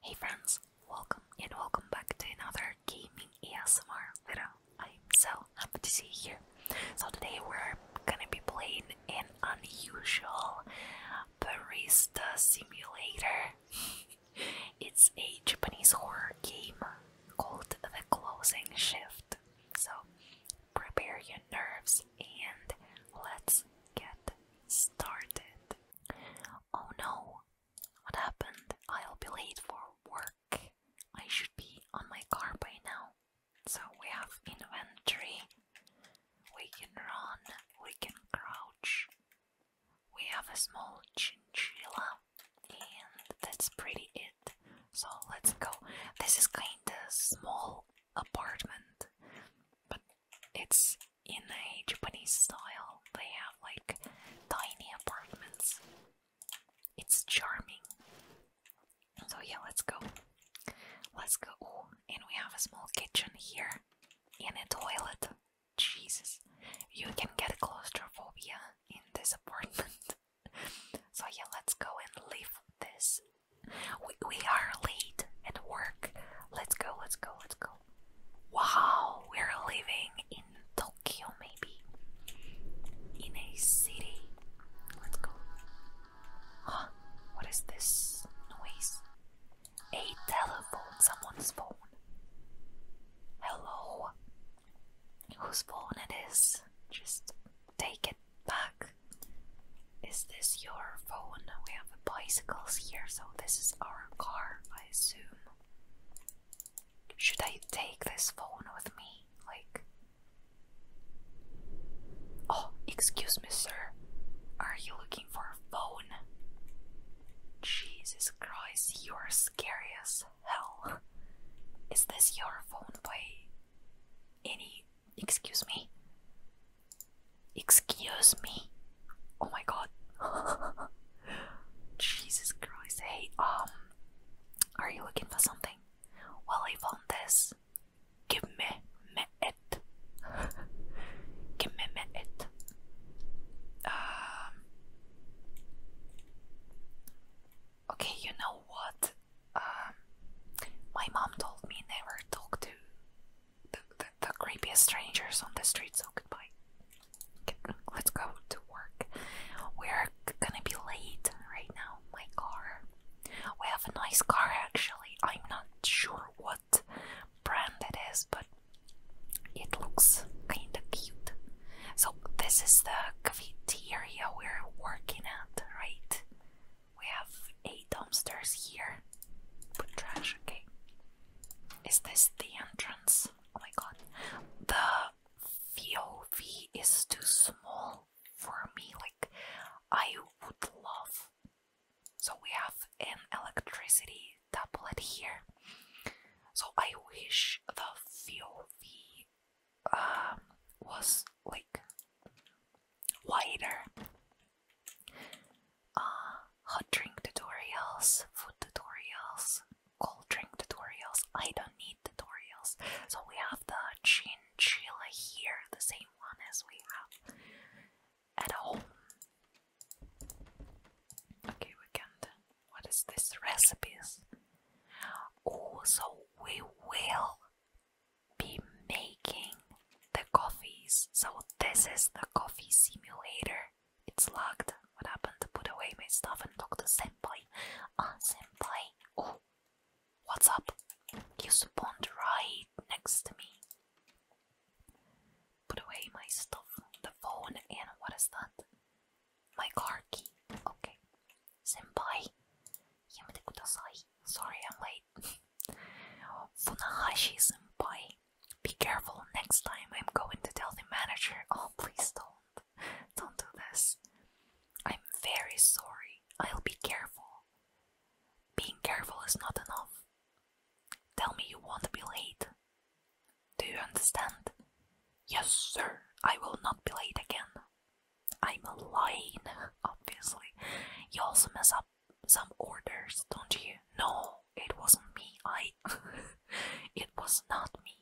Hey friends, welcome and welcome back to another gaming ASMR video. I'm so happy to see you here. So today we're gonna be playing an unusual barista simulator. it's a Japanese horror game called The Closing Shift. So prepare your nerves and let's get started. Oh no, what happened? I'll be late for work. I should be on my car by now. So we have inventory. We can run. We can crouch. We have a small chinchilla. And that's pretty it. So let's go. This is kinda small apartment. But it's in a Japanese style. They have like tiny apartments. It's charming. So yeah, let's go. Let's go. and we have a small kitchen here and a toilet. Jesus. You can get claustrophobia in this apartment. so yeah, let's go and leave this. we are late at work. Let's go, let's go, let's go. Wow, we're living in Tokyo, maybe. In a city. Let's go. Huh? What is this noise? A telephone, someone's phone. Hello. Whose phone it is? Just take it back. Is this your phone? We have bicycles here, so this is our car, I assume. Should I take this phone with me? Like. Oh, excuse me, sir. Are you looking for a phone? Jesus Christ, you are scary as hell. Is this your phone by any. Excuse me? Excuse me. Oh my god. Jesus Christ. Hey, um, are you looking for something? Well, I found this. Give me, me it. Give me, me it. Um. Okay, you know what? Um, my mom told me never talk to the, the, creepiest strangers on the street, so goodbye. Let's go to work. We're gonna be late right now. My car. We have a nice car actually. I'm not sure what brand it is, but it looks kinda cute. So, this is the cafeteria we're working at, right? We have eight dumpsters here. Put trash, okay? Is this the entrance? Oh my god. The VOV is too small for me. Like, I would love. So, we have an electricity tablet here. So, I wish the VOV um, was like wider uh, hot drink tutorials, food tutorials, cold drink tutorials. I don't need tutorials. So we have the chinchilla here, the same one as we have at home. Okay, we can't. is this? Recipes. Oh, so we will be making the coffees. So this is the coffee simulator it's locked. What happened to put away my stuff and talk to Senpai? Ah, uh, Oh, what's up? You spawned right next to me. Put away my stuff, the phone, and what is that? My car key. Okay. You're Senpai. Yamete kudasai. Sorry I'm late. Funahashi senpai. Be careful next time. I'm going to tell the manager. Oh, please don't. Don't do this. I'm very sorry. I'll be careful. Being careful is not enough. Tell me you won't be late. Do you understand? Yes, sir. I will not be late again. I'm lying, obviously. You also mess up some orders, don't you? No, it wasn't me. I. it was not me.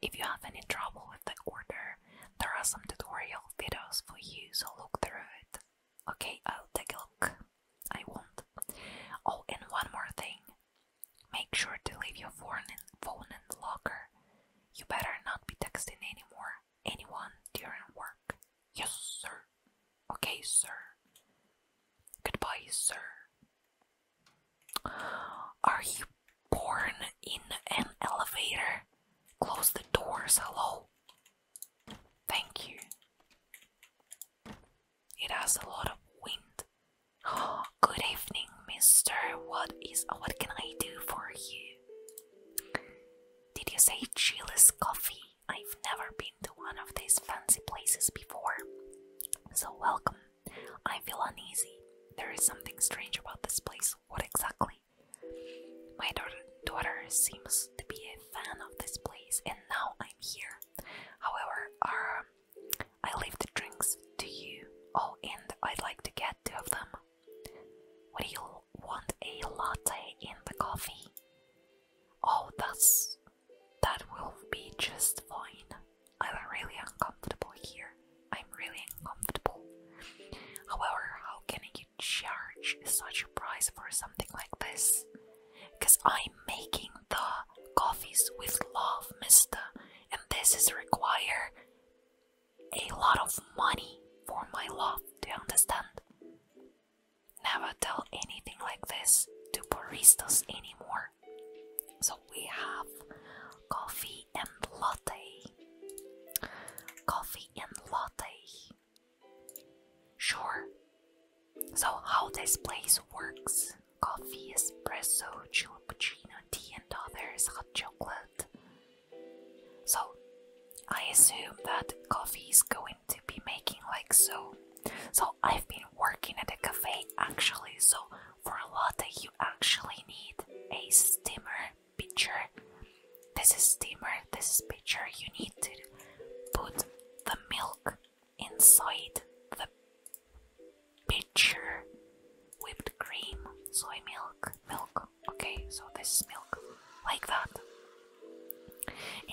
If you have any trouble with the order, there are some tutorial videos for you, so look through it. Okay, I'll take a look. I won't. Oh, and one more thing. Make sure to leave your phone in, the locker. You better not be texting anymore, anyone during work. Yes, sir. Okay, sir. Goodbye, sir. Are you born in an elevator? Close the doors, hello. Thank you. It has a lot of wind. good evening, mister. What is what can I do for you? Did you say Chili's coffee? I've never been to one of these fancy places before. So, welcome. I feel uneasy. There is something strange about this place. What exactly? My daughter seems to be a fan of this place, and now I'm here. However, uh, I leave the drinks to you. Oh, and I'd like to get two of them. Would you want a latte and the coffee? Oh, that's that will be just fine. I'm really uncomfortable here. I'm really uncomfortable. However, how can you charge such a price for something like this? Because I'm making the coffees with love, mister, and this is require a lot of money for my love, do you understand? Never tell anything like this to baristas anymore. So we have coffee and latte. Coffee and latte. Sure. So, how this place works coffee, espresso, cappuccino, tea, and others, hot chocolate. So, I assume that coffee is going to be making like so. So, I've been working at a cafe actually, so for a latte you actually need a steamer pitcher. This is steamer, this is pitcher. You need to put the milk inside the pitcher whipped cream, soy milk, milk. Okay, so this milk like that.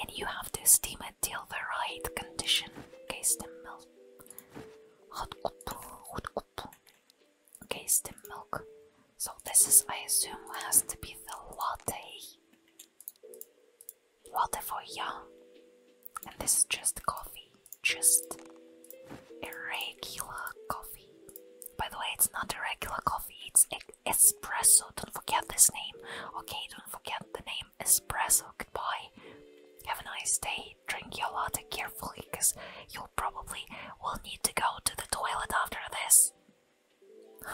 And you have to steam it till the right condition. case the milk. Hot cup, hot cup. Okay, steam milk. So this is, I assume, has to be the latte. Latte for ya. And this is just coffee. Just a regular coffee. By the way, it's not a regular coffee, it's espresso. Don't forget this name. Okay, don't forget the name espresso. Goodbye. Have a nice day. Drink your latte carefully, cause you'll probably will need to go to the toilet after this.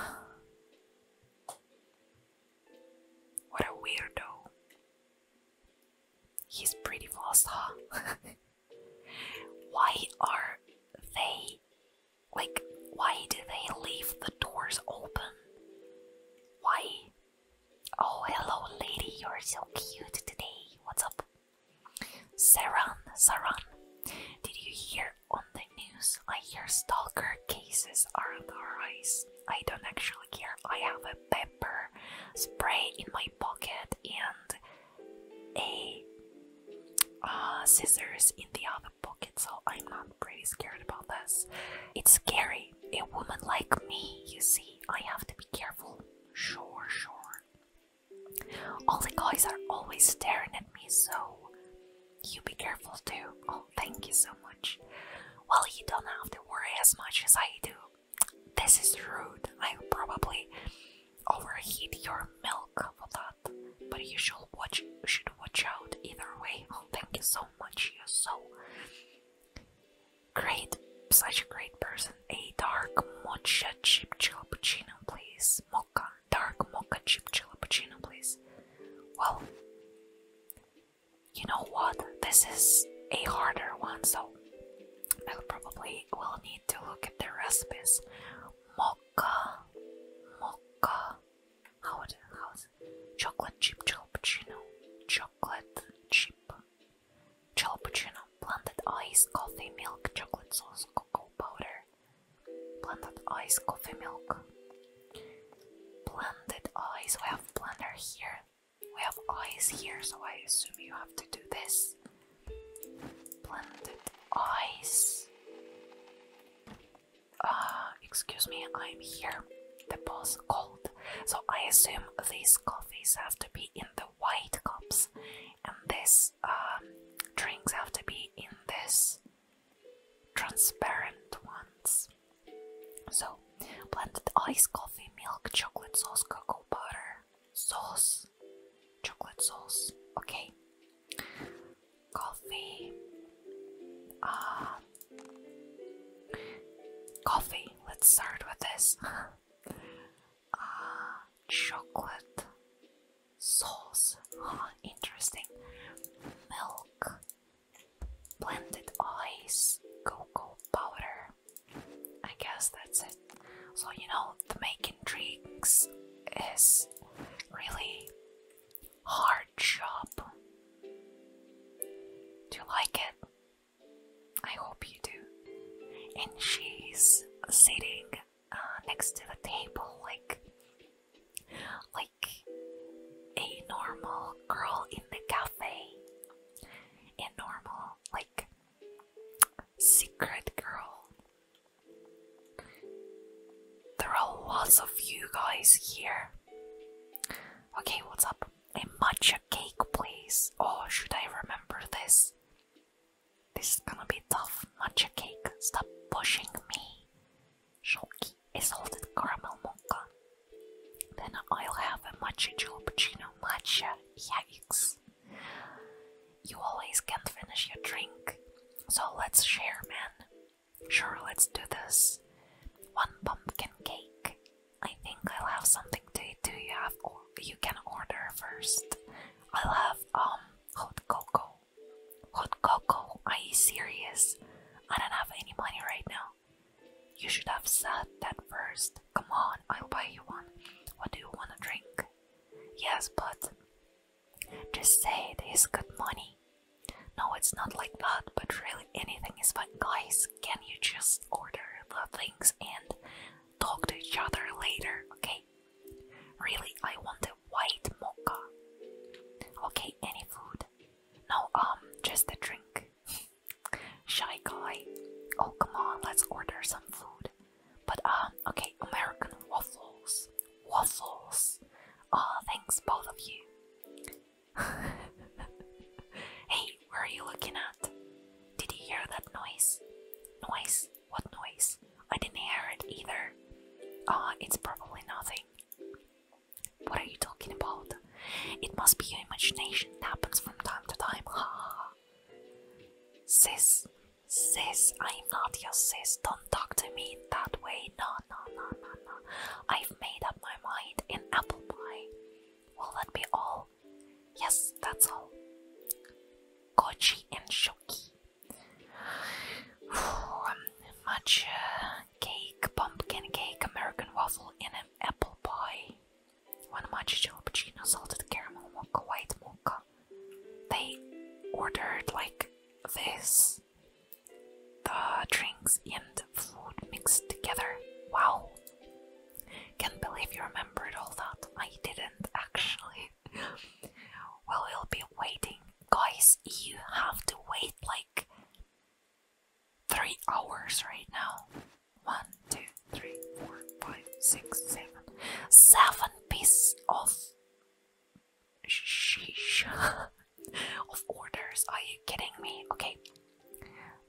what a weirdo. He's pretty fast, huh? why are they like why do they leave the doors open? Why? Oh, hello, lady. You're so cute today. What's up? Saran, Saran. Did you hear on the news? I hear stalker cases are on the rise. I don't actually care. I have a pepper spray in my pocket and a uh, scissors in the other pocket, so I'm not really scared about this. It's scary a woman like me, you see. I have to be careful. Sure, sure. All the guys are always staring at me, so you be careful too. Oh, thank you so much. Well, you don't have to worry as much as I do. This is rude. I'll probably overheat your milk for that. But you should watch should watch out either way. Oh thank you so much. You're so Great, such a great person. A dark mocha chip cappuccino, please. Mocha, dark mocha chip cappuccino, please. Well, you know what? This is a harder one, so I probably will need to look at the recipes. Mocha, mocha. How, chocolate chip jalapeno, chocolate chip jalapeno, blended ice, coffee, milk, chocolate sauce, cocoa powder, blended ice, coffee, milk, blended ice. We have blender here. We have ice here, so I assume you have to do this. Blended ice. Uh, excuse me, I'm here. The boss called. So I assume these coffees have to be in the white cups, and this um, drinks have to be in this transparent ones. So blended ice, coffee, milk, chocolate sauce, cocoa butter, sauce, chocolate sauce. Okay, coffee. Ah. Coffee, let's start with this. Uh, chocolate sauce, interesting. Milk, blended ice, cocoa powder. I guess that's it. So, you know, the making drinks is really hard job. Do you like it? I hope you do. And she's sitting uh, next to the table like like a normal girl in the cafe. A normal like secret girl. There are lots of you guys here. Okay, what's up? A matcha cake, please. Oh, should I remember this? This is gonna be tough. Matcha cake, stop pushing me. Shoki, all salted caramel mocha. Then I'll have a matcha jalapeno matcha. Yikes. You always can't finish your drink. So let's share, man. Sure, let's do this. One pumpkin cake. I think I'll have something to eat. Do you have you can order first? I'll have um hot cocoa. Hot cocoa? Are you serious? I don't have any money right now. You should have said that first. Come on, I'll buy you one. What do you want to drink? Yes, but just say it is good money. No, it's not like that, but really anything is fine, guys can you just order the things and talk to each other later, okay? Really, I want a white mocha. Okay, any food. No, um, just the drink. Shy guy. Oh, come on, let's order some food. But, um, okay, American waffles. Waffles. Ah, thanks, both of you. hey, where are you looking at? Did you hear that noise? Noise? What noise? I didn't hear it either. Ah, it's probably nothing. What are you talking about? It must be your imagination. It happens from time to time. Ha! sis, sis, I'm not your sis. Don't talk to me that way. No, no, no, no, no. I've made up my mind. An apple pie. Will that be all? Yes, that's all. Kochi and Shoki. Matcha um, uh, cake, pumpkin cake, American waffle, and an apple pie. One matcha cappuccino, salted caramel mocha, white mocha. They ordered like this the drinks and food mixed together. Wow! Can't believe you remembered all that. I didn't actually. well, we'll be waiting. Guys, you have to wait like three hours right now. One, two, three, four, five, six, seven. Seven pieces of. Sheesh. of orders. Are you kidding me? Okay.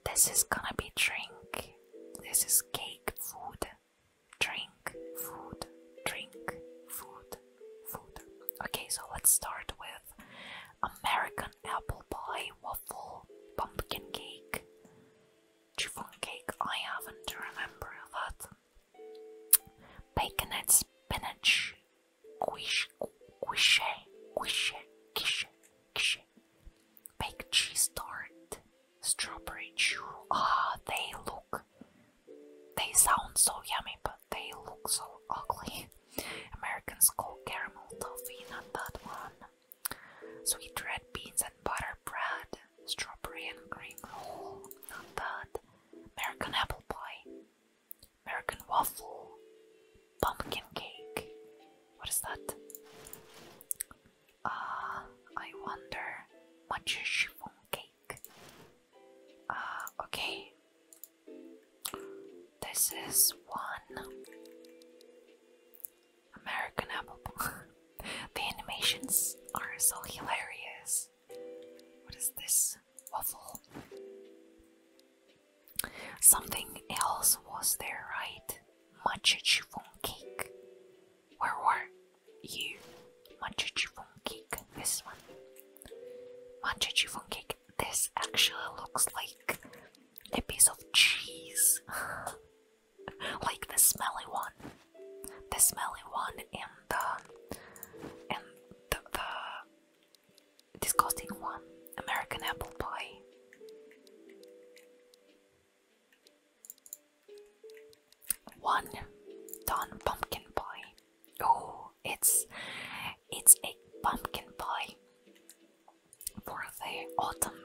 This is gonna be drink. This is cake, food, drink, food, drink, food, food. Okay, so let's start with American apple pie, waffle, pumpkin cake, chiffon cake. I haven't remembered that. Baconette, spinach, quiche, quiche, quiche, quiche, quiche, baked cheese tart, strawberry chew. Ah, they look. They sound so yummy, but they look so ugly. Americans call caramel toffee, not that one. Sweet red beans and butter bread, strawberry and green roll, not that. American apple pie, American waffle, pumpkin cake. What is that? Ah, I wonder. Matcha chiffon cake. Ah, okay. This is one American apple the animations are so hilarious. What is this? Waffle. Something else was there, right? Matcha chiffon cake. Where were you? Matcha chiffon cake. This one. Matcha chiffon cake. This actually looks like a piece of cheese. like the smelly one. The smelly one and the and the, the disgusting one. American apple pie. One Don pumpkin pie. Oh, it's it's a pumpkin pie for the autumn.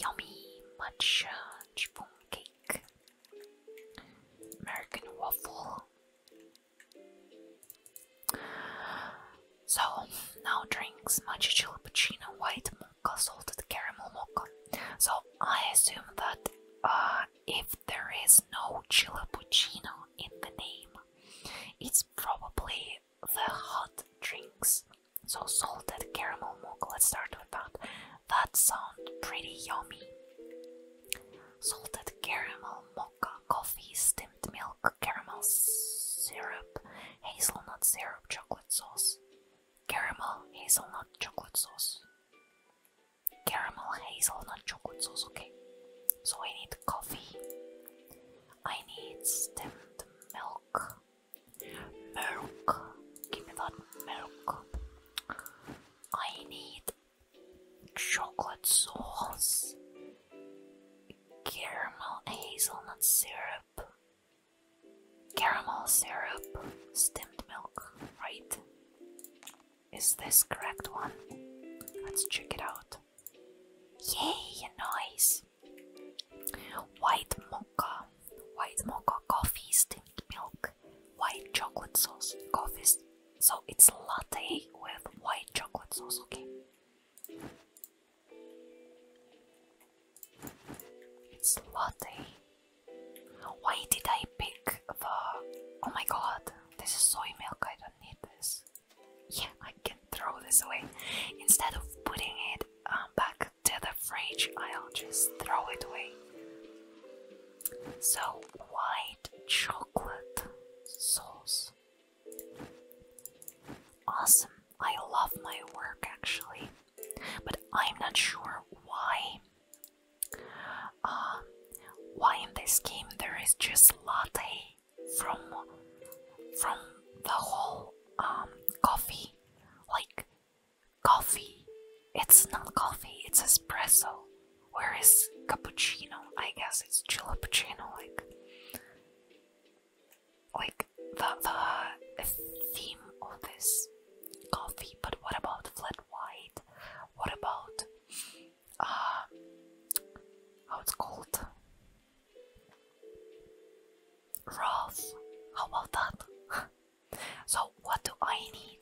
Yummy matcha chiffon cake. American waffle. So, now drinks matcha chilippuccino, white mocha, salted caramel mocha. So, I assume that uh, if there is no chilippuccino in the name, it's probably the hot drinks. So, salted caramel mocha, let's start with that. That sounds pretty yummy. Salted caramel mocha, coffee, steamed milk caramel syrup, hazelnut syrup, chocolate sauce, caramel, hazelnut, chocolate sauce, caramel, hazelnut, chocolate sauce. Okay, so I need coffee, I need steamed milk, milk, give me that milk. I need chocolate sauce caramel hazelnut syrup. Caramel syrup, stemmed milk, right? Is this correct one? Let's check it out. Yay, nice! White mocha, white mocha coffee, stemmed milk, white chocolate sauce, coffee. So it's latte with white chocolate sauce, okay? It's bloody. Why did I pick the... Oh my god, this is soy milk, I don't need this. Yeah, I can throw this away. Instead of putting it um, back to the fridge, I'll just throw it away. So, white chocolate sauce. Awesome. I love my work actually, but I'm not sure why. Uh, why in this game there is just latte from from the whole um coffee, like coffee. It's not coffee. It's espresso. Where is cappuccino? I guess it's chilappuccino. Like like the, the theme of this coffee, but what about flat white? What about uh, how it's called? Rough. How about that? so what do I need?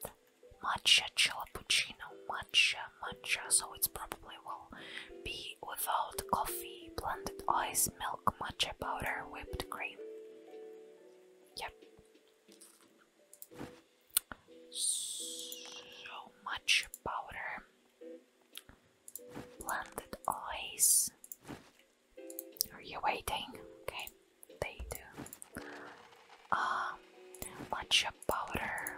Matcha, chilappuccino, matcha, matcha. So it's probably possibly will be without coffee, blended ice, milk, matcha powder, whipped cream. Yep. So much powder, blended ice. Are you waiting? Okay, they do. Um, matcha powder,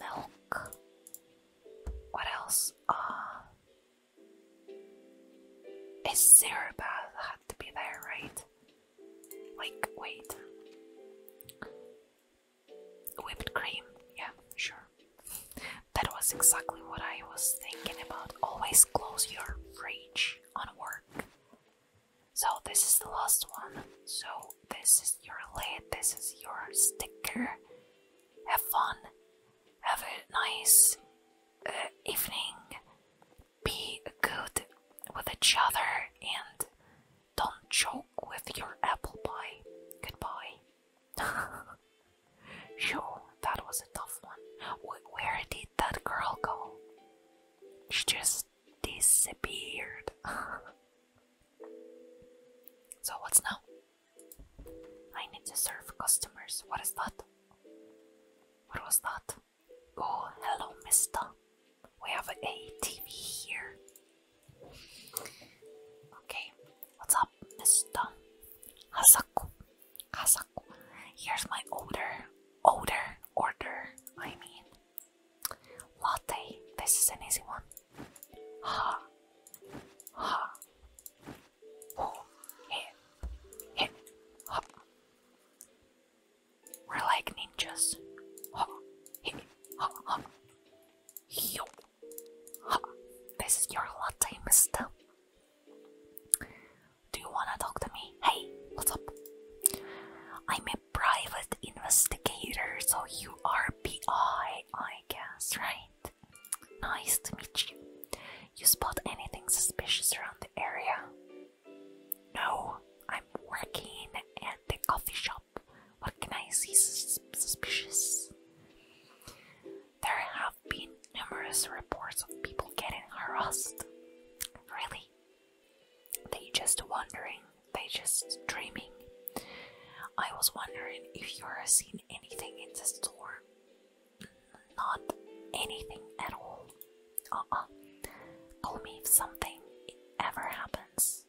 milk. What else? Uh, is Sarabad had to be there, right? Like, wait. Whipped cream, yeah, sure. That was exactly what I was thinking about. Always close your fridge on work. So, this is the last one. So, this is your lid, this is your sticker. Have fun. Have a nice uh, evening. Be good with each other and don't joke with your apple pie. Goodbye. Phew, that was a tough one. Where did that girl go? She just disappeared. so, what's now? I need to serve customers. What is that? What was that? Oh, hello, mister. We have a TV here. Okay, what's up, mister? Hasaku. Hasaku. Here's my order. Order. Order. I mean, latte. This is an easy one. Ha. Ha pull, hit, hit, hop. We're like ninjas. Hop, hit, hop, hop. Yo, hop. This is your latte, mister. Do you wanna talk to me? Hey, what's up? I'm a private investigator, so you are PI, I guess, right? Nice to meet you. You spot anything suspicious around the area? No, I'm working at the coffee shop. What can I see suspicious? There have been numerous reports of people getting harassed. Really? They just wandering. they just dreaming. I was wondering if you're seeing anything in the store. Not anything at all. Uh-uh. Call me if something ever happens.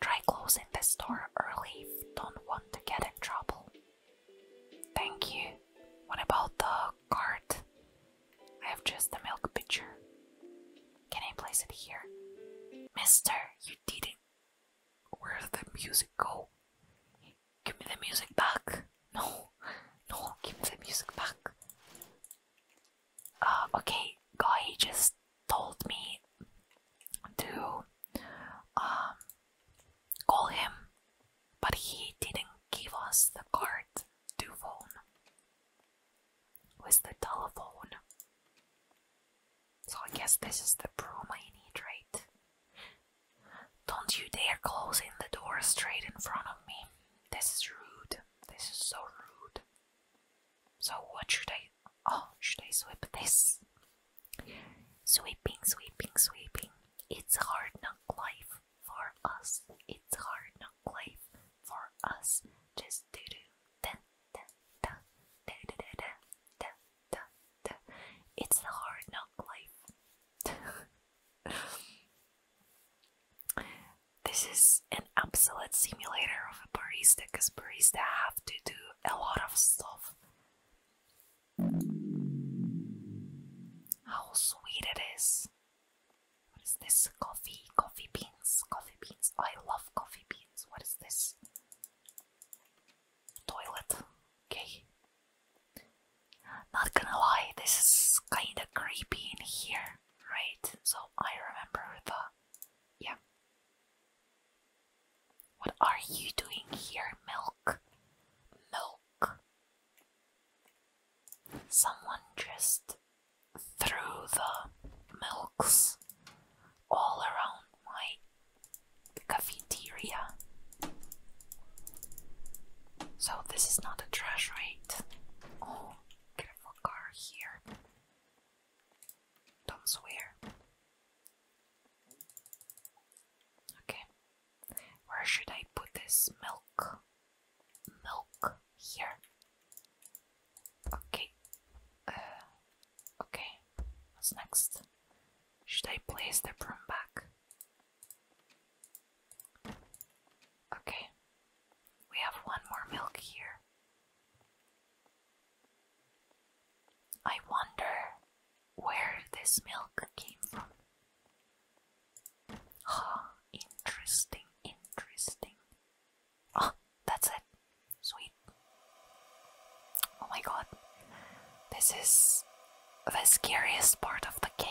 Try closing this door early if don't want to get in trouble. Thank you. What about the cart? I have just the milk pitcher. Can I place it here? Mister, you did it. Where the music go? Give me the music back. No, no, give me the music back. Uh, okay, guy just told me to um, call him, but he didn't give us the card to phone Was the telephone. So I guess this is the broom I need, right? Don't you dare close in the door straight in front of me. This is rude. This is so rude. So what should I... Oh, should I sweep this? Sweeping, sweeping, sweeping. It's hard knock life for us. It's hard knock life for us. Just do do da da da da da da da it's the hard knock life. this is an absolute simulator of a barista because barista have to do a lot of stuff. How sweet it is. What is this? Coffee, coffee beans, coffee beans. I love coffee beans. What is this? Toilet. Okay. Not gonna lie, this is kinda creepy in here, right? So I remember the. Yeah. What are you doing here, milk? Milk. Someone just threw the milks all around my the cafeteria. So this is not a trash rate. Oh, car here. Don't swear. Okay. Where should I put this milk? Milk here. Okay. Uh, okay. What's next? Should I place the broom back? Okay, we have one more milk here. I wonder where this milk came from. Oh, interesting, interesting. Oh, that's it. Sweet. Oh my god, this is the scariest part of the game.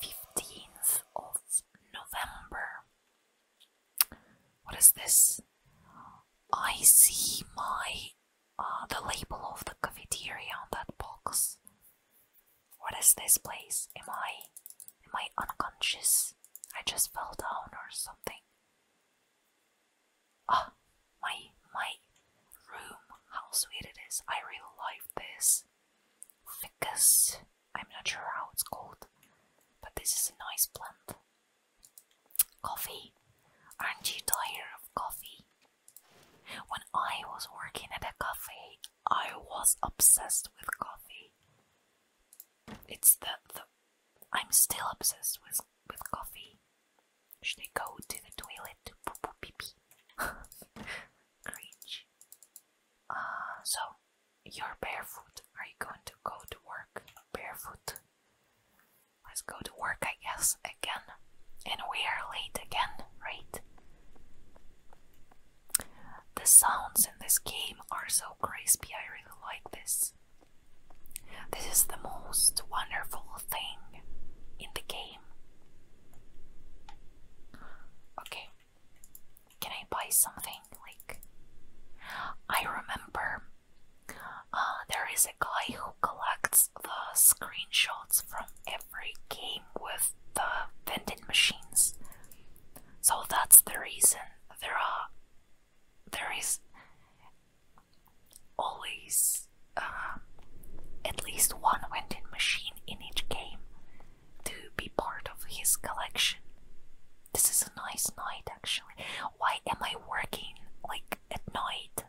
15th uh, of November. What is this? I see my uh, the label of the cafeteria on that box. What is this place? Am I am I unconscious? I just fell down or something. Ah, my my room. How sweet it is. I really like this. Ficus. I'm not sure how it's called, but this is a nice plant. Coffee. Aren't you tired of coffee? When I was working at a cafe, I was obsessed with coffee. It's the the I'm still obsessed with with coffee. Should I go to the toilet to poo poo pee pee? Cringe. Uh, so, you're barefoot. Are you going to go to work barefoot? Let's go to work, I guess, again. And we are late again, right? The sounds in this game are so crispy, I really like this. This is the most wonderful thing in the game. Okay, can I buy something? Like, I remember uh, there is a guy who collects the screenshots from every game with the vending machines. So that's the reason there are there is always um, at least one vending machine in each game to be part of his collection. This is a nice night actually. Why am I working like at night?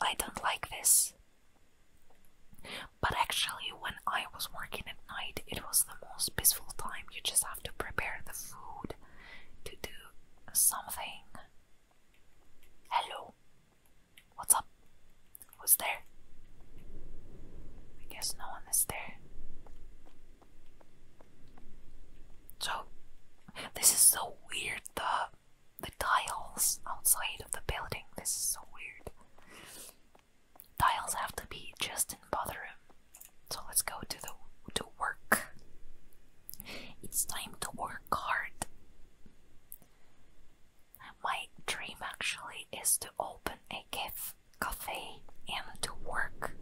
I don't like this. But actually, when I was working at night, it was the most peaceful time. You just have to prepare the food to do something. Hello. What's up? Who's there? I guess no one is there. So, this is so weird. The the tiles outside of the building. This is so weird. Tiles have to be just in bathroom. So let's go to the to work. It's time to work hard. My dream actually is to open a caf cafe and to work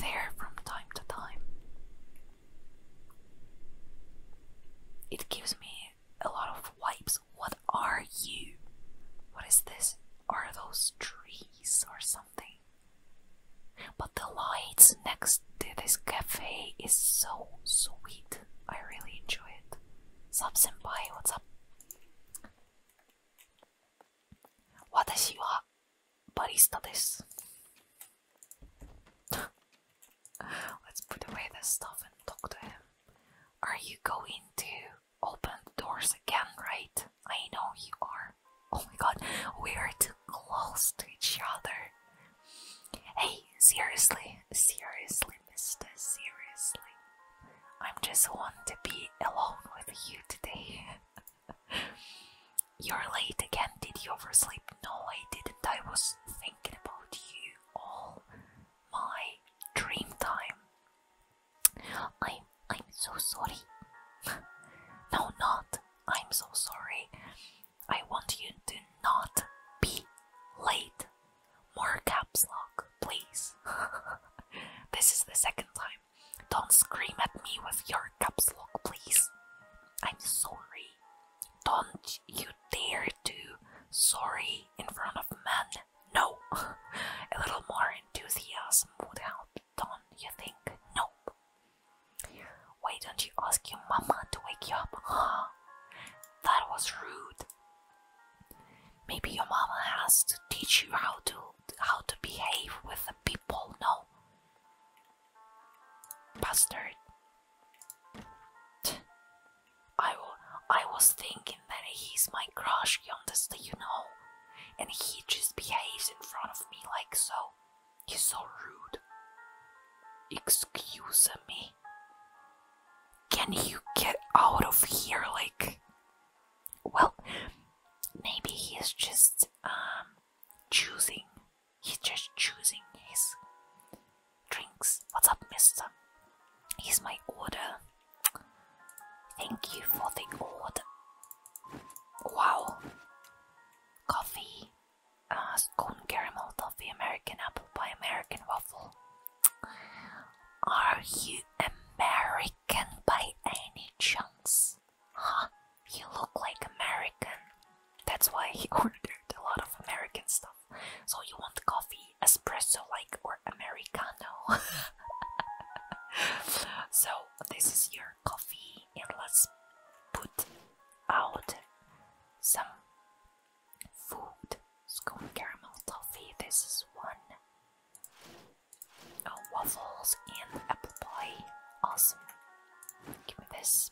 there from time to time. It gives me a lot of wipes. What are you? What is this? Are those trees or something? But the lights next to this cafe is so sweet. I really enjoy it. Sub what's up? Watashi wa barista desu. Let's put away this stuff and talk to him. Are you going to open the doors again, right? I know you are. Oh my god, we are too close to each other. Hey, seriously, seriously, mister, seriously. I'm just want to be alone with you today. You're late again, did you oversleep? No, I didn't. I was thinking about you all my dream time. I'm I'm so sorry. no not. I'm so sorry. I want you to not be late. More caps lock, please. this is the second time. Don't scream at me with your caps lock, please. I'm sorry. Don't you dare to sorry in front of men. No. A little more enthusiasm would help, don't you think? Nope. Why don't you ask your mama to wake you up, huh? That was rude. Maybe your mama has to teach you how to how to behave with the people, no? Bastard. I, I was thinking that he's my crush, honestly, you know? And he just behaves in front of me like so. He's so rude. Excuse me. Can you get out of here? Like, well, maybe he's just um choosing. He's just choosing his drinks. What's up, Mister? Here's my order. Thank you for the order. Wow, coffee uh, ah, scone caramel toffee, American apple pie, American waffle. Are you American by any chance? Huh? You look like American. That's why he ordered a lot of American stuff. So you want coffee, espresso like or Americano? so this is your coffee and let's put out some food. Scone caramel toffee, this is one. Oh, waffles and apple pie. Awesome. Give me this.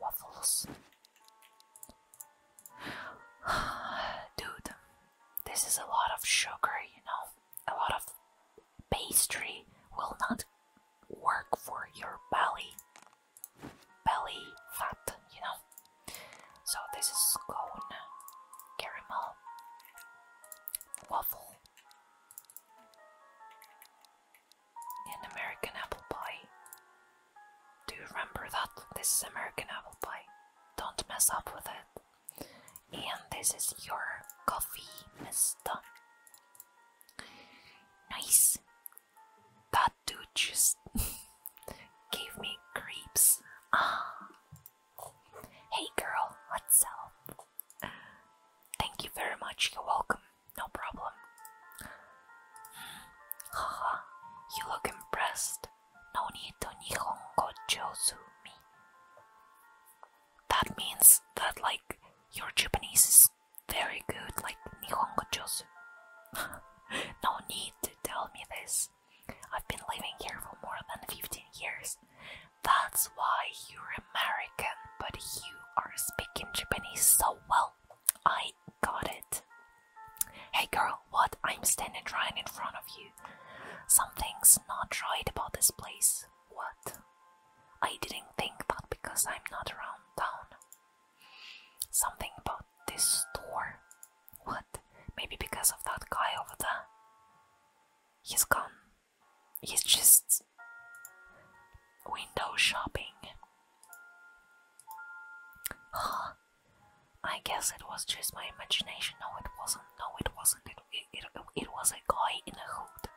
Waffles. Dude, this is a lot of sugar, you know. A lot of pastry will not work for your belly belly fat, you know. So this is cone, caramel, waffle, and American apple pie. Do you remember that? This is American apple pie. Don't mess up with it. And this is your coffee, Mister. Nice. That dude just gave me creeps. Ah. Hey girl, what's up? Thank you very much, you're welcome. No problem. Haha, you look impressed. No need to Nihongo me. That means that, like, your Japanese very good, like Nihongo Josu. no need to tell me this. I've been living here for more than 15 years. That's why you're American, but you are speaking Japanese so well. I got it. Hey girl, what? I'm standing right in front of you. Something's not right about this place. What? I didn't think that because I'm not around town. Something about this store. What? Maybe because of that guy over there? He's gone. He's just window shopping. I guess it was just my imagination. No, it wasn't. No, it wasn't. It, it, it, it was a guy in a hood.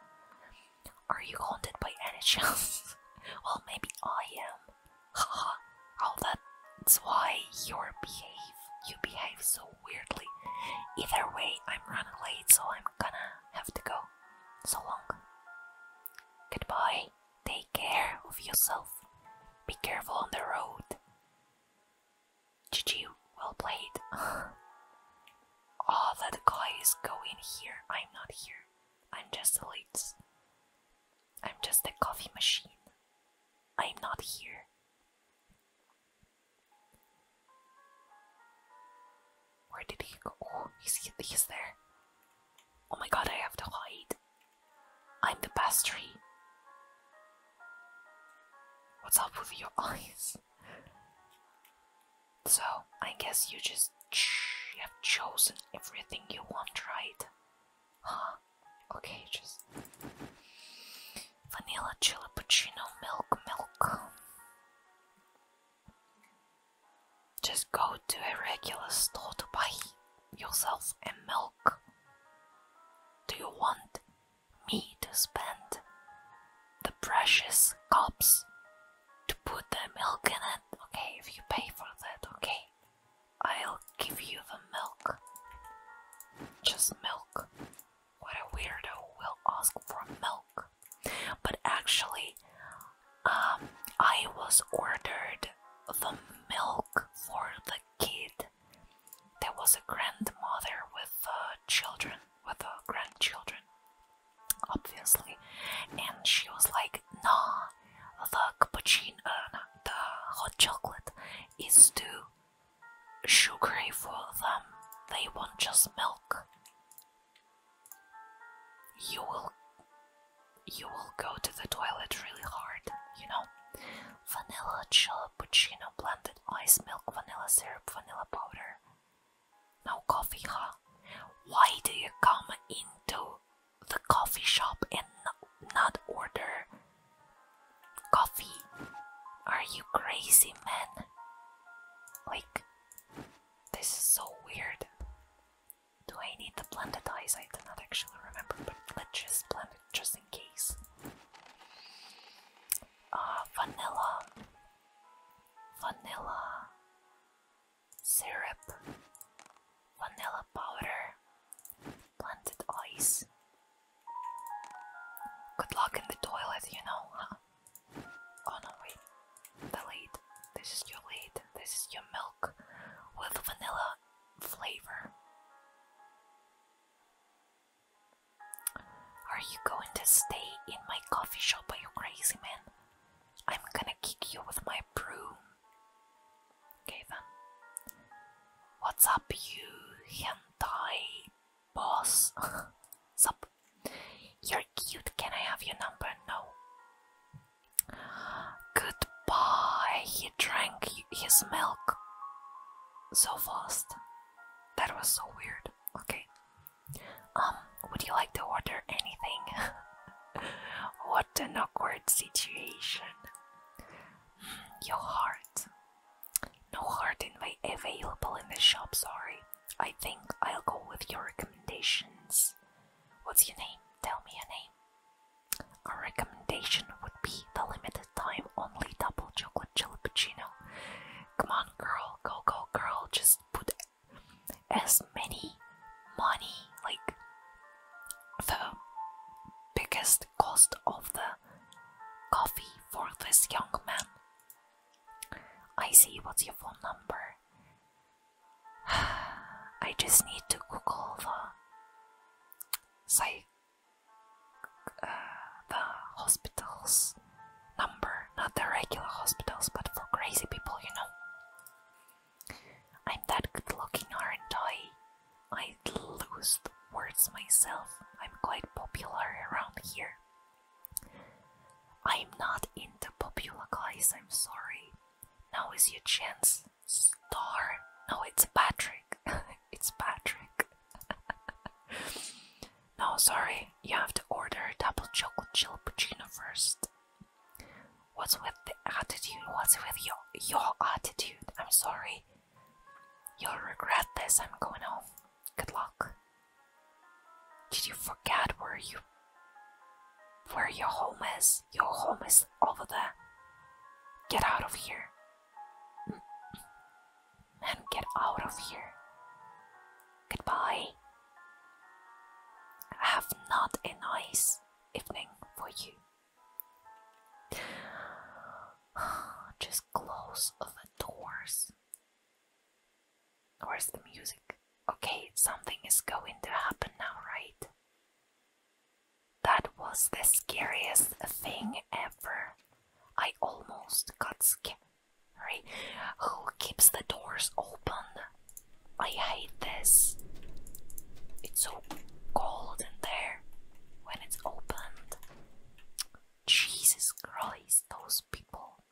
Are you haunted by any chance? well, maybe I am. Haha, oh, that's why you behave. You behave so weirdly. Either way, I'm running late, so I'm gonna have to go. So long. Goodbye. Take care of yourself. Be careful on the road. GG, well played. oh, that guy is going here. I'm not here. I'm just a lids. I'm just a coffee machine. I'm not here. Where did he go? Oh, he's, he's there. Oh my god, I have to hide. I'm the pastry. What's up with your eyes? So I guess you just have chosen everything you want, right? Huh? Okay, just vanilla chilipuccino, milk, milk. Just go to a regular store to buy yourself a milk. Do you want me to spend the precious cups to put the milk in it. Okay, if you pay for that, okay. I'll give you the milk. Just milk. What a weirdo will ask for milk. But actually, um, I was ordered the milk for the kid. There was a grandmother with uh, children, with uh, grandchildren obviously. And she was like, "No, the cappuccino, the hot chocolate is too sugary for them. They want just milk. You will, you will go to the toilet really hard, you know." Vanilla chill cappuccino, blended ice milk, vanilla syrup, vanilla powder. No coffee, huh? Why do you come into the coffee shop and not order coffee? Are you crazy, man? Like, this is so weird. Do I need the blended eyes? I do not actually remember, but let's just blend it just in case. Uh, vanilla. Vanilla syrup, vanilla powder, blended ice. Good luck in the toilet, you know, huh? Oh no, wait. The This is your lead. This is your milk with vanilla flavor. Are you going to stay in my coffee shop? Are you crazy, man? I'm gonna kick you with my broom. Okay then. What's up, you hentai boss? Sup? You're cute. Can I have your number? No. Goodbye. He drank his milk so fast. That was so weird. Okay. Um would you like to order anything? what an awkward situation. Mm, your heart. No heart in my available in the shop, sorry. I think I'll go with your recommendations. What's your name? Tell me your name. A recommendation would be the limited time only double chocolate chili Come on, girl, go, go, girl. Just put as many money like the biggest cost of the coffee for this young man. I see what's your phone number. I just need to Google the psych uh, the hospital's number, not the regular hospitals, but for crazy people, you know. I'm that good looking, aren't I? I lose words myself. I'm quite popular around here. I'm not into popular guys, I'm sorry. Now is your chance. Star. No, it's Patrick. it's Patrick. no, sorry. You have to order a double chocolate chili first. What's with the attitude? What's with your your attitude? I'm sorry. You'll regret this. I'm going home. Good luck. Did you forget where you where your home is? Your home is over there. Get out of here. Man, get out of here. Goodbye. I have not a nice evening for you. Just close the doors. Where's the music? Okay, something is going to happen now, right? That was the scariest thing ever. I almost got scared. Who keeps the doors open? I hate this. It's so cold in there when it's opened. Jesus Christ, those people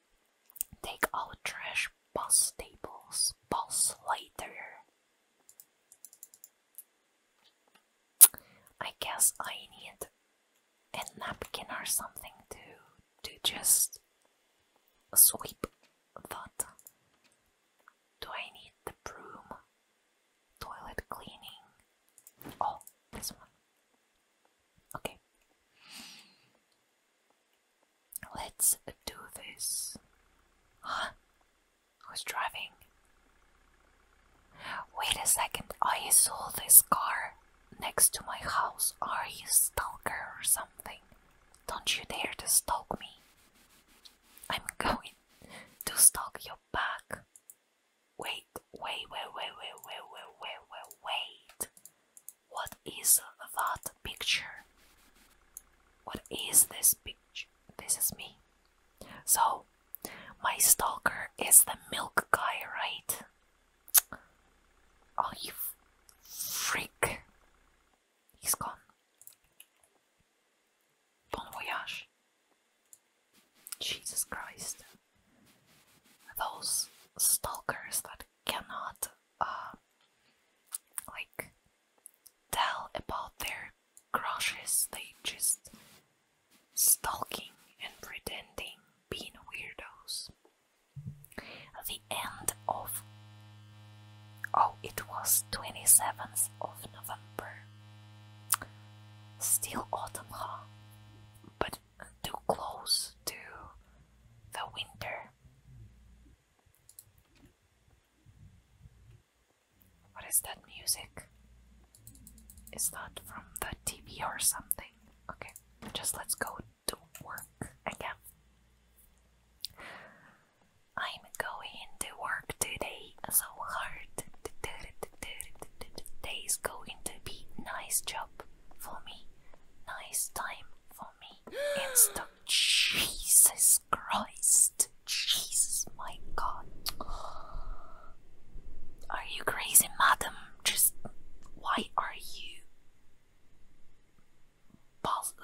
take out trash bus tables, bus later. I guess I need a napkin or something to to just sweep that do I need the broom? Toilet cleaning. Oh, this one. Okay. Let's do this. Huh? Who's driving? Wait a second, I saw this car next to my house. Are you stalker or something? Don't you dare to stalk me. I'm going to stalk your back. Wait, wait, wait, wait, wait, wait, wait, wait, wait, What is that picture? What is this picture? This is me. So, my stalker is the milk guy, right? Oh, you freak. He's gone. Bon voyage. Jesus Christ. Those stalkers that cannot, uh, like, tell about their crushes, they just stalking and pretending being weirdos. The end of Oh, it was 27th of November. Still autumn, huh? But too close to the winter. What is that music? Is that from the TV or something? Okay, just let's go to work again. I'm going to work today so hard. Today's going to be nice job for me. Nice time for me. It's the Jesus Christ. Jesus my god. Are you crazy madam? Just why are you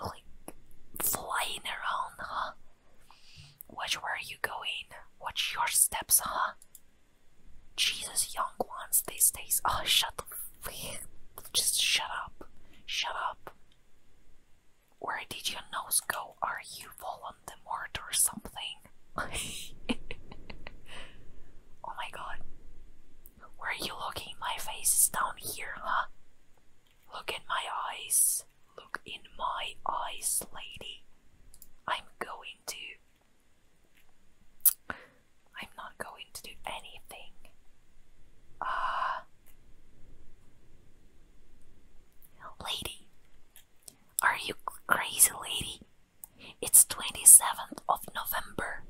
like flying around, huh? Watch where you going. Watch your steps, huh? Jesus, young ones these days. Oh, shut the just shut up, shut up. Where did your nose go? Are you falling to the Voldemort or something? oh my god. Where are you looking? My face is down here, huh? Look in my eyes. Look in my eyes, lady. I'm going to. I'm not going to do anything. Ah. lady. Are you crazy, lady? It's 27th of November.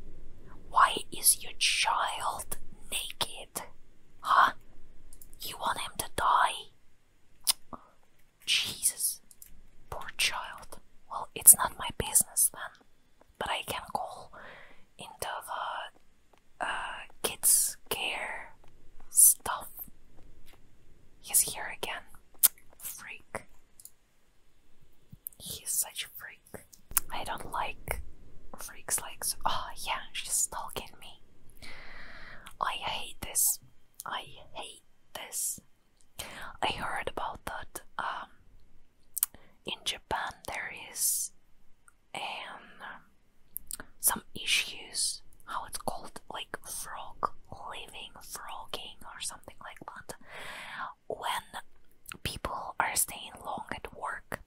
Why is your child naked? Huh? You want him to die? Jesus. Poor child. Well, it's not my business then. But I can call into the uh, kids' care stuff. He's here again. Freak. He's such a freak. I don't like freaks like. oh, yeah, she's stalking me. I hate this. I hate this. I heard about that um, in Japan there is um, some issues, how it's called, like frog living, frogging, or something like that. When people are staying long at work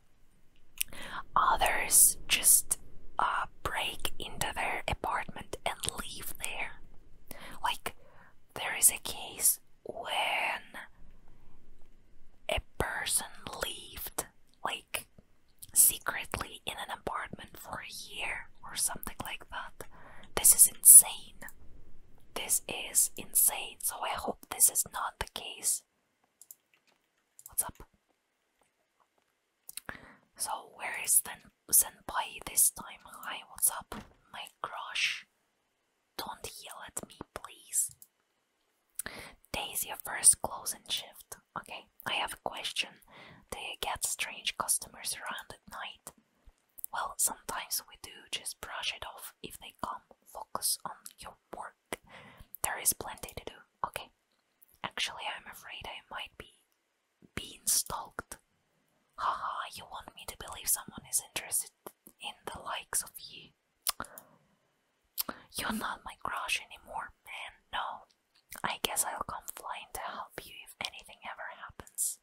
Others just uh, break into their apartment and leave there. Like, there is a case when a person lived, like, secretly in an apartment for a year or something like that. This is insane. This is insane, so I hope this is not the case. What's up? So where is Sen Senpai this time? Hi, what's up? My crush. Don't yell at me, please. Days your first closing shift. Okay, I have a question. Do you get strange customers around at night? Well, sometimes we do. Just brush it off if they come. Focus on your work. There is plenty to do. Okay. Actually, I'm afraid I might be being stalked. Ha ha! you want me to believe someone is interested in the likes of you? You're not my crush anymore, man. No. I guess I'll come flying to help you if anything ever happens.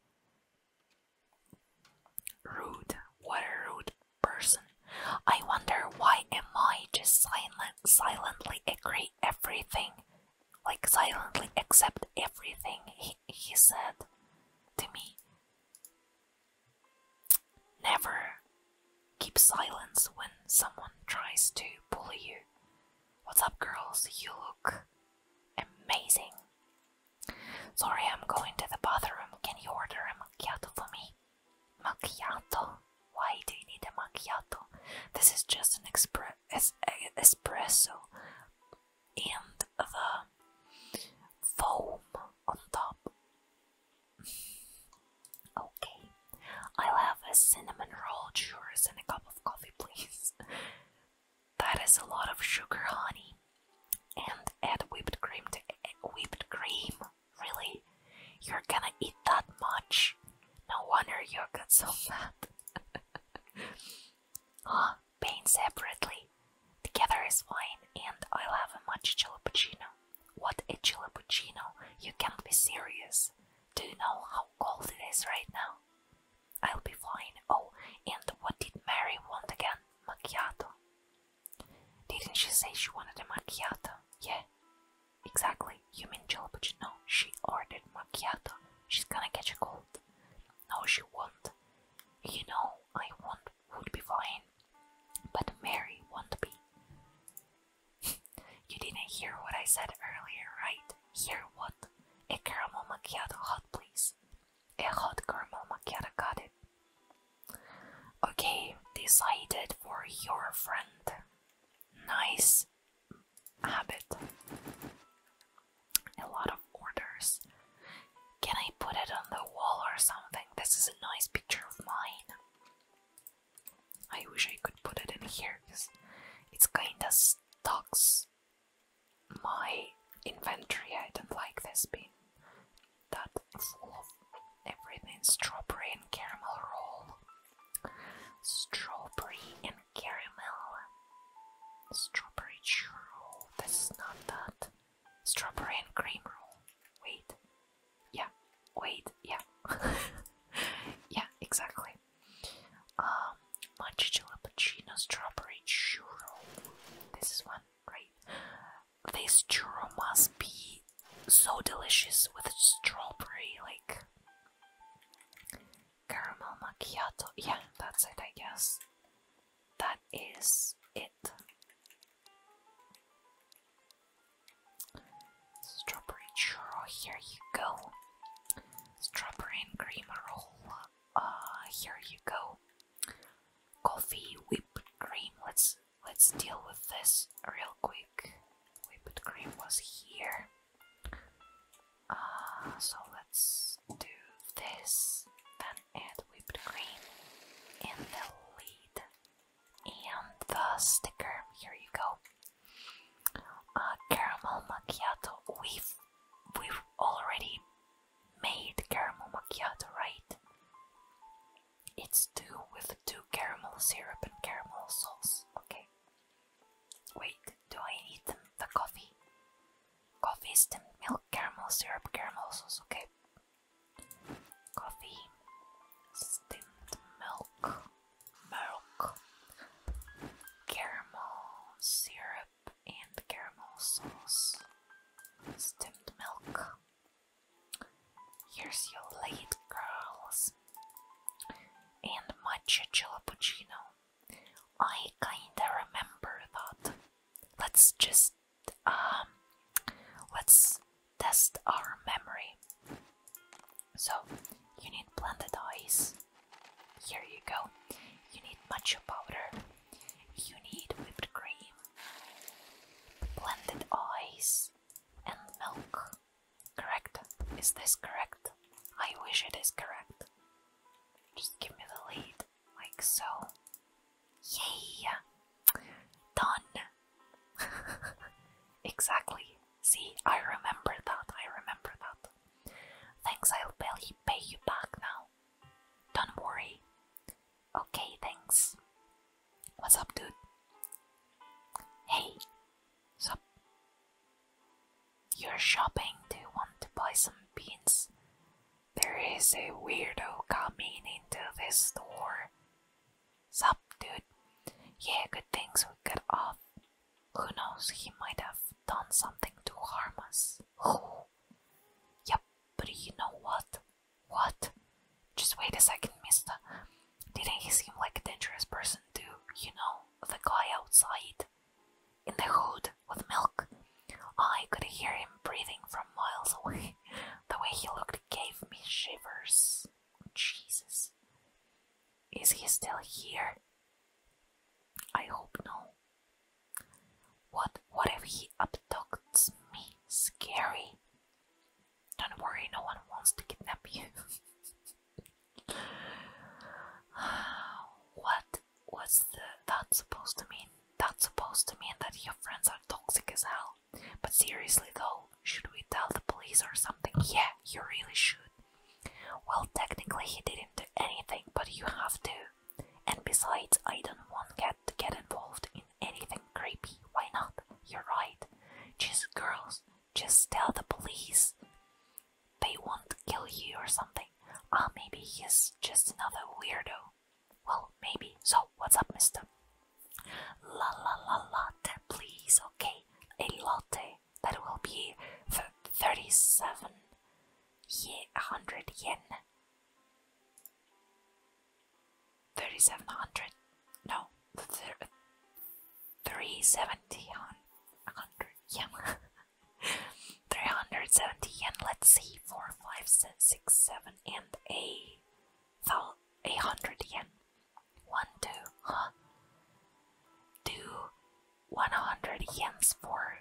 Rude. What a rude person I wonder why am I just silently agree everything, like silently accept everything he, he said to me. Never keep silence when someone tries to bully you. What's up, girls? You look amazing. Sorry, I'm going to the bathroom. Can you order a macchiato for me? Macchiato? Why do you need a macchiato? This is just an expre espresso and the foam on top. okay, I'll have a cinnamon roll, churros, and a cup of coffee, please. that is a lot of sugar, honey. And add whipped cream to eh, whipped cream Really? You're gonna eat that much? No wonder you got so fat. huh? Pain separately. Together is fine, and I'll have a matcha chilipuccino. What a chilipuccino! You can't be serious. Do you know how cold it is right now? I'll be fine. Oh, and what did Mary want again? Macchiato. Didn't she say she wanted a macchiato? Yeah, Exactly, you mean Jellybuchin? No, she ordered macchiato. She's gonna catch a cold. No, she won't. You know, I won't would be fine, but Mary won't be. you didn't hear what I said earlier, right? Hear what? A caramel macchiato hot, please. A hot caramel macchiato, got it. Okay, decided for your friend nice habit. A lot of orders. Can I put it on the wall or something? This is a nice picture of mine. I wish I could put it in here because it's kinda stocks my inventory. I don't like this being that full of everything strawberry caramel roll. Strawberry and caramel. Strawberry churro. This is not that. Strawberry and cream roll. Wait. Yeah. Wait. Yeah. yeah, exactly. Um, matcha jalapeno strawberry churro. This is one, right? This churro must be so delicious with strawberry, like Caramel macchiato. Yeah, that's it, I guess. That is it. Strawberry churro, here you go. Strawberry and cream roll, uh, here you go. Coffee whipped cream. Let's let's deal with this real quick think whipped cream was here. Uh, so let's do this, then add whipped cream in the lid and the sticker. Here you go. Uh, caramel macchiato. We've we've already made caramel macchiato, right? It's two with two caramel syrup and caramel sauce. Okay. Wait, do I need them, the coffee? Coffee, steamed milk, caramel syrup, caramel sauce, okay. Coffee, steamed milk, milk, caramel syrup, and caramel sauce, steamed milk. Here's your late girls. And matcha Chilappuccino. I kinda remember that. Let's just um let's test our memory. So you need blended ice. Here you go. You need matcha powder. You need whipped cream, blended ice, and milk. Correct? Is this correct? I wish it is correct. Just give me the lead, like so. Yay! Done! exactly. See, I remember that, I remember that. Thanks, I'll barely pay you back now. Don't worry. Okay, thanks. What's up, dude? Hey, Sup? You're shopping, do you want to buy some beans? There is a weirdo coming into this store. Sup, dude? Yeah, good things we got off. Who knows, he might have done something to harm us. Who? Yep, but you know what? What? Just wait a second, mister. Didn't he seem like a dangerous person too, you know, the guy outside? In the hood, with milk. I could hear him breathing from miles away. The way he looked gave me shivers. Jesus. Is he still here? I hope no. What what if he abducts me? Scary. Don't worry, no one wants to kidnap you. what was the that supposed to mean? That's supposed to mean that your friends are toxic as hell. But seriously though, should we tell the police or something? Yeah, you really should. Well, technically he didn't do anything, but you have to. And besides, I don't want get to get involved in anything creepy. Why not? You're right. Just girls, just tell the police. They won't kill you or something. Ah, uh, maybe he's just another weirdo. Well, maybe. So, what's up, mister? La la la latte, please. Okay, a latte. That will be for 37 yeah, 100 yen. 3700. No, 370 on 100 yen. 370 yen, let's see, 4, 5, 6, 7, and a, thou, hundred yen. 1, 2, huh? Do 100 yens for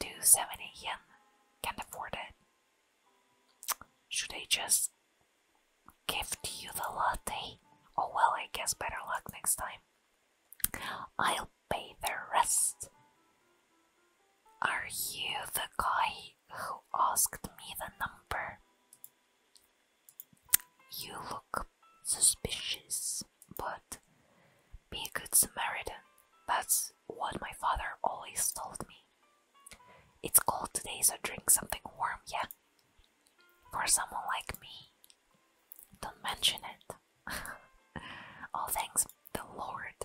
270 yen. Can't afford it. Should I just Give you the latte. Oh well, I guess better luck next time. I'll pay the rest. Are you the guy who asked me the number? You look suspicious, but be a good Samaritan. That's what my father always told me. It's cold today, so drink something warm, yeah? for someone like me. Don't mention it. oh, thanks, the Lord.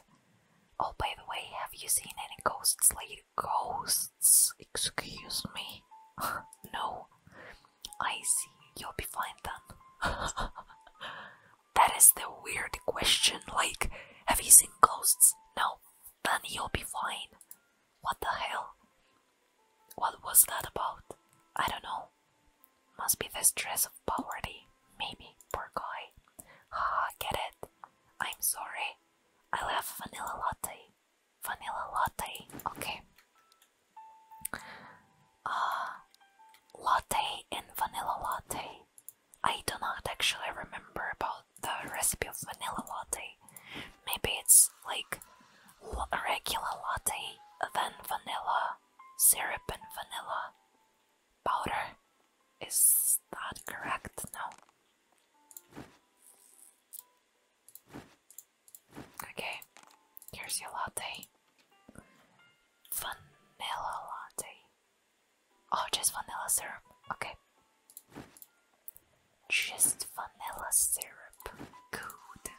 Oh, by the way, have you seen any ghosts lately? Ghosts? Excuse me. no. I see. You'll be fine then. that is the weird question. Like, have you seen ghosts? No. Then you'll be fine. What the hell? What was that about? I don't know. Must be the stress of poverty, maybe, poor guy. Haha, get it? I'm sorry. I'll vanilla latte. Vanilla latte, okay. Ah, latte and vanilla latte. I do not actually remember about the recipe of vanilla latte. Maybe it's like a regular latte, then vanilla, syrup, and vanilla powder. Is that correct? No. Okay, here's your latte. Vanilla latte. Oh, just vanilla syrup. Okay. Just vanilla syrup. Good.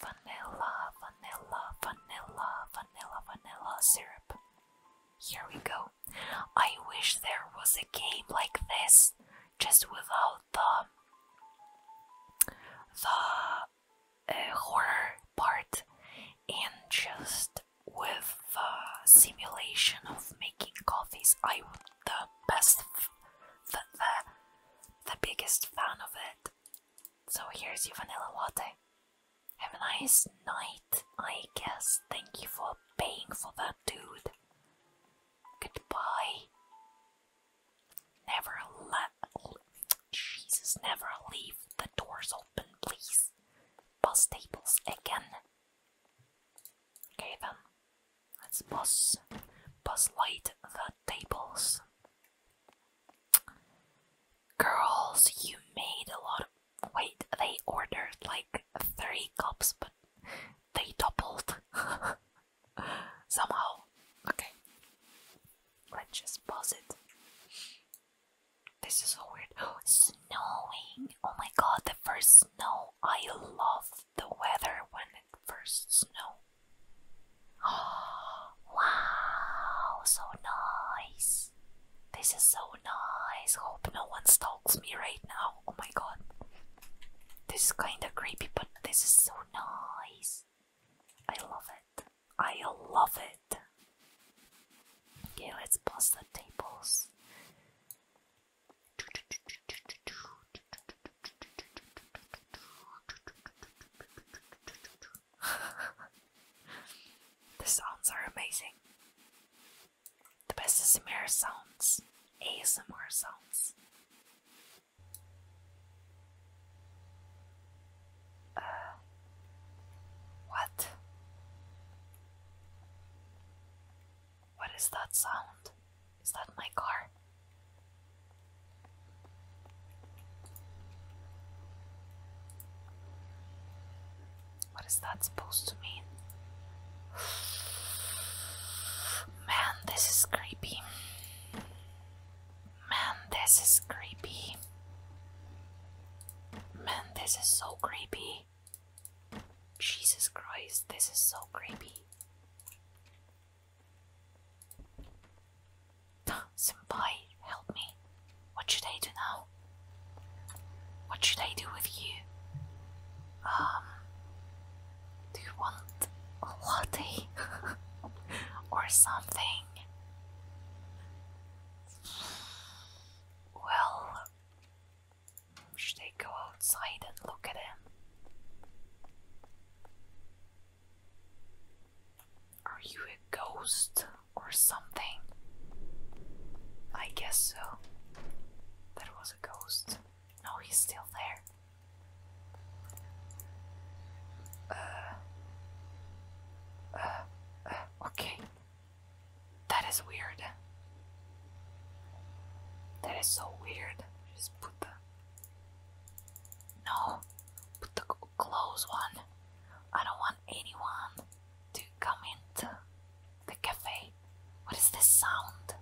Vanilla, vanilla, vanilla, vanilla, vanilla syrup. Here we go. I wish there was a game like this, just without the the uh, horror part and just with the simulation of making coffees. I would the best the the the biggest fan of it. So here's your vanilla latte. Have a nice night, I guess. Thank you for paying for that, dude. Goodbye. Never let. Jesus, never leave the doors open, please. Bus tables again. Okay then. Let's pause. bus light the tables. Girls, you made a lot of. Wait, they ordered like three cups, but they doubled somehow. Okay, let's just pause it. This is so weird. Snowing! Oh my god, the first snow! I love the weather when it first snows. Oh, wow, so nice. This is so nice. Hope no one stalks me right now. Oh my god. This is kinda creepy, but this is so nice. I love it. I love it. Okay, let's pass the tables. the sounds are amazing. The best ASMR sounds. ASMR sounds. Uh, what? What is that sound? Is that my car? What is that supposed to mean? Man, this is creepy. Man, this is creepy. Man, this is so creepy. Jesus Christ, this is so creepy. Senpai, help me. What should I do now? What should I do with you? Um, do you want a latte or something? Well, should I go outside and look at him? Are you a ghost or something? I guess so. That was a ghost. No, he's still there. Uh, uh. Uh. okay. That is weird. That is so weird. Just put the no, put the close one. I don't want anyone to come into the cafe. What is this sound?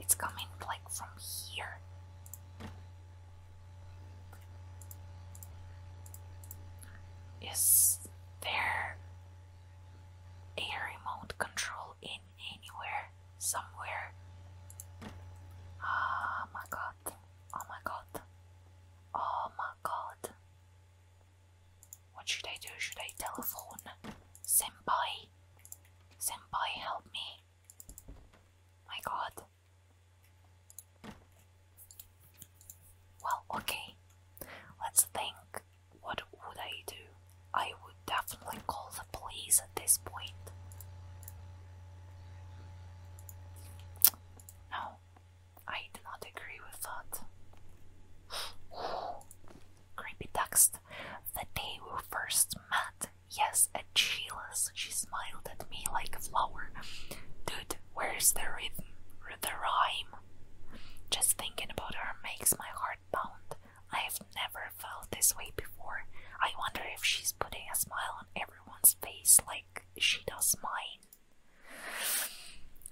It's coming like from here. Is there a remote control in anywhere, somewhere. Oh my god. Oh my god. Oh my god. What should I do? Should I telephone? Senpai? Senpai, help me. My god. Well, okay. Let's think. What would I do? I would definitely call the police at this point. No, I do not agree with that. Creepy text. The day we first met, yes, at she smiled at me like a flower. Dude, where's the rhythm? The rhyme? Just thinking about her makes my heart pound. I have never felt this way before. I wonder if she's putting a smile on everyone's face like she does mine.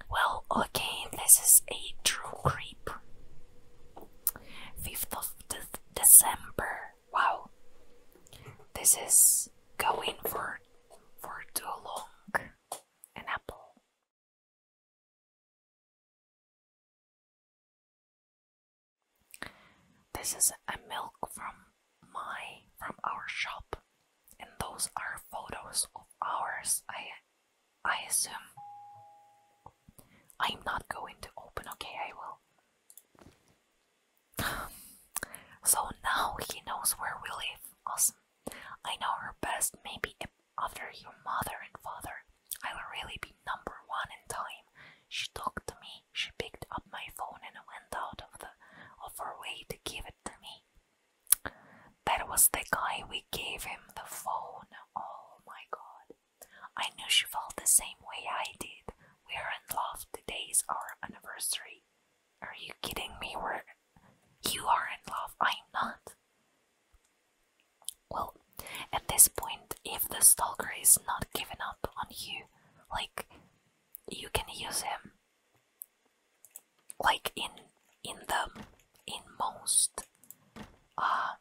Well, okay, this is a true creep. 5th of December. Wow. This is going for for too long. An apple. This is a milk from my from our shop, and those are photos of ours. I I assume I'm not going to open. Okay, I will. so now he knows where we live. Awesome. I know her best, maybe after your mother and father. I'll really be number one in time. She talked to me, she picked up my phone and went out of, the, of her way to give it to me. That was the guy we gave him the phone. Oh my god. I knew she felt the same way I did. We are in love. Today's our anniversary. Are you kidding me? Where you are in love. I'm not. Well, at this point, if the stalker is not giving up on you, like you can use him like in in the in most uh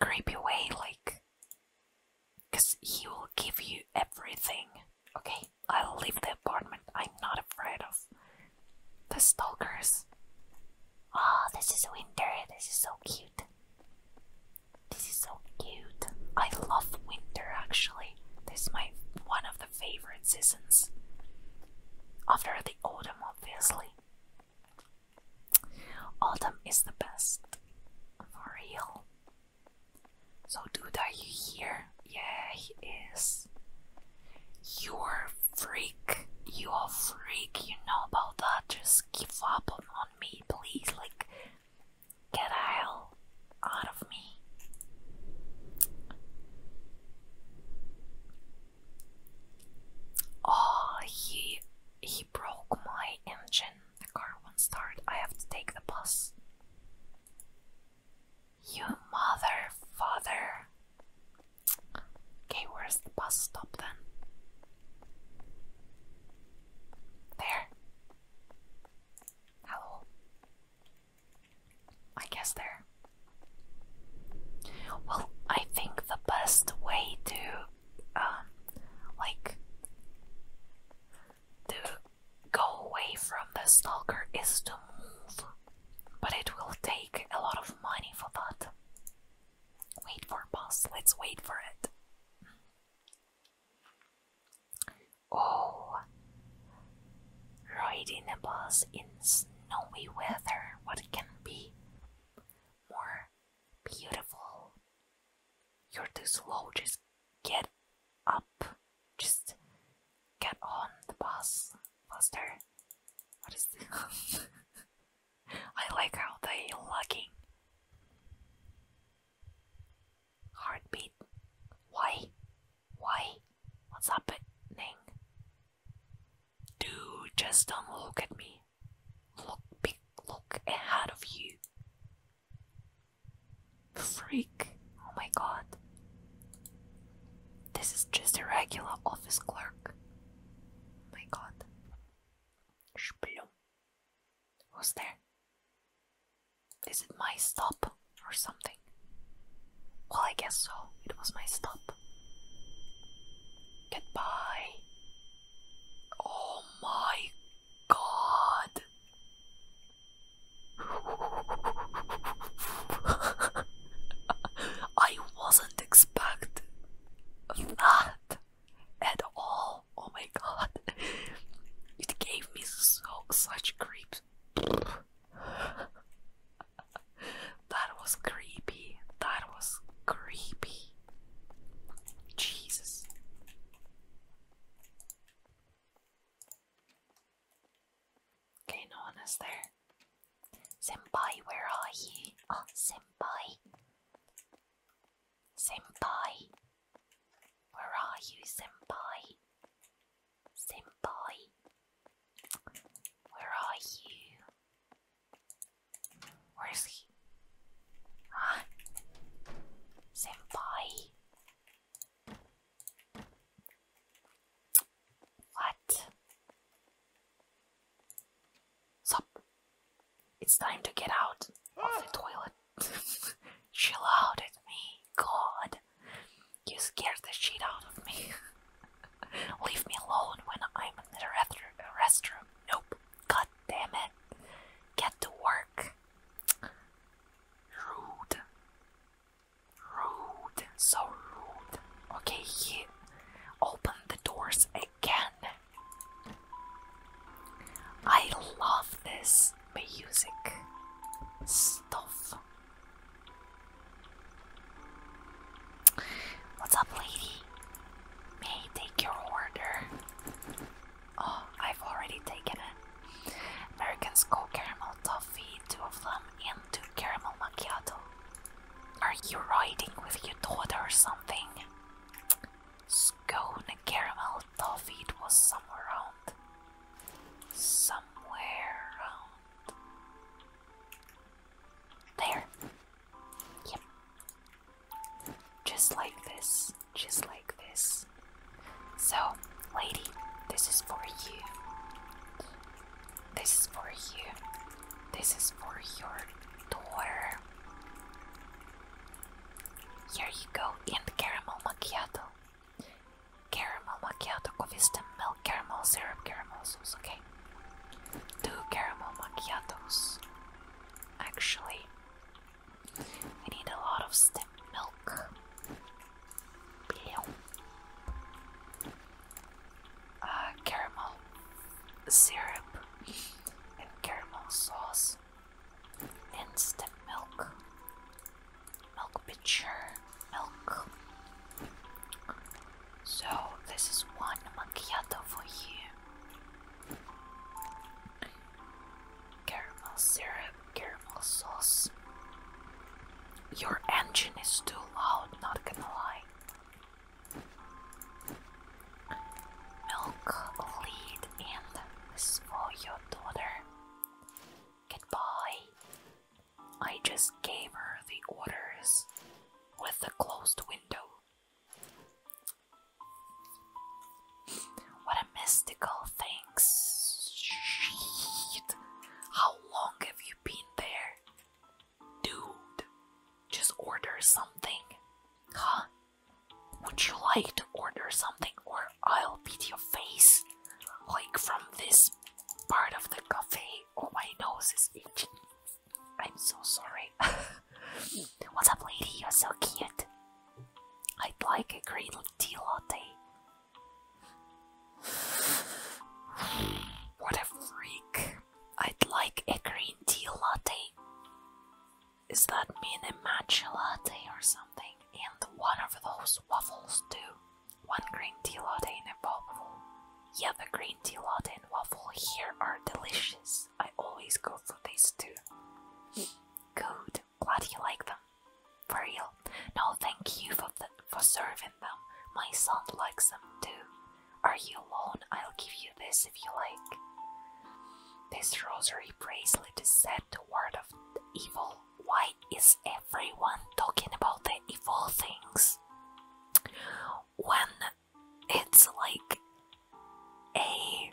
creepy way like because he will give you everything okay i'll leave the apartment i'm not afraid of the stalkers oh this is winter this is so cute this is so cute. I love winter actually. This is my one of the favorite seasons. After the autumn, obviously. Autumn is the best. For real. So, dude, are you here? Yeah, he is. You're a freak. You're a freak. You know about that. Just give up on me, please, like get the hell out of me. Oh, he he broke my engine. The car won't start. I have to take the bus. You mother, father. Okay, where's the bus stop then? There. Hello. I guess there. Well, I think the best way to, um, like, to go away from the stalker is to move, but it will take a lot of money for that. Wait for bus, let's wait for it. Oh, riding a bus in snowy weather, what can be more beautiful? You're too slow, just get up, just get on the bus faster. What is this? I like how they lagging. Heartbeat. Why? Why? What's happening? Dude, just don't look at me. Look look ahead of you. Freak. Oh my god. This is just a regular office clerk. Oh my god. Shplum. Was there? Is it my stop or something? Well, I guess so. It was my stop. Goodbye. Oh my god. I wasn't expecting that at all. Oh my god. It gave me so such creeps. that was creepy. That was creepy. Jesus. Okay, no one is there. Senpai, where are you? Oh, ah, Senpai. Senpai, where are you, Senpai? Senpai, where are you? Where is he? Huh? Ah. Senpai, what? Sup? It's time to get out of the toilet. Chill out at me, God. You scared the shit out of me. Leave me alone when I'm in the restroom. Nope. God damn it. Get to work. Rude. Rude. So rude. Okay, he opened the doors again. I love this music stuff. What's up, lady? May I take your order? Oh, I've already taken it. American Skull Caramel Toffee, two of them, and two caramel macchiato. Are you riding with your daughter or something? Scone and caramel toffee, was somewhere around. Somewhere around. There. Yep. Just like this. Just like this. So, lady, this is for you. This is for you. This is for your daughter. Here you go, and caramel macchiato. Caramel macchiato, coffee stem milk, caramel syrup, caramel sauce, okay? Two caramel macchiatos. Actually, I need a lot of milk. Uh, caramel syrup and caramel sauce. Instant milk. Milk pitcher. Milk. So this is one macchiato for you. Caramel syrup, caramel sauce. Your engine is too loud, not gonna lie. Milk lead in is for your daughter. Goodbye. I just gave her the orders with the closed window. What a mystical thing. Shit. How long have you been there? Dude, just order something. Huh? Would you like to order something or I'll beat your face? Like from this part of the cafe? Oh, my nose is itching. I'm so sorry. What's up, lady? You're so cute. I'd like a green tea latte. What a freak. I'd like a green tea latte. Is that mean a matcha latte or something? And one of those waffles too. One green tea latte and a waffle. Yeah, the green tea latte and waffle here are delicious. I always go for these too. Good. Glad you like them. For real. No, thank you for, for serving them. My son likes them too. Are you alone? I'll give you this if you like. This rosary bracelet is said the word of evil. Why is everyone talking about the evil things? When it's like a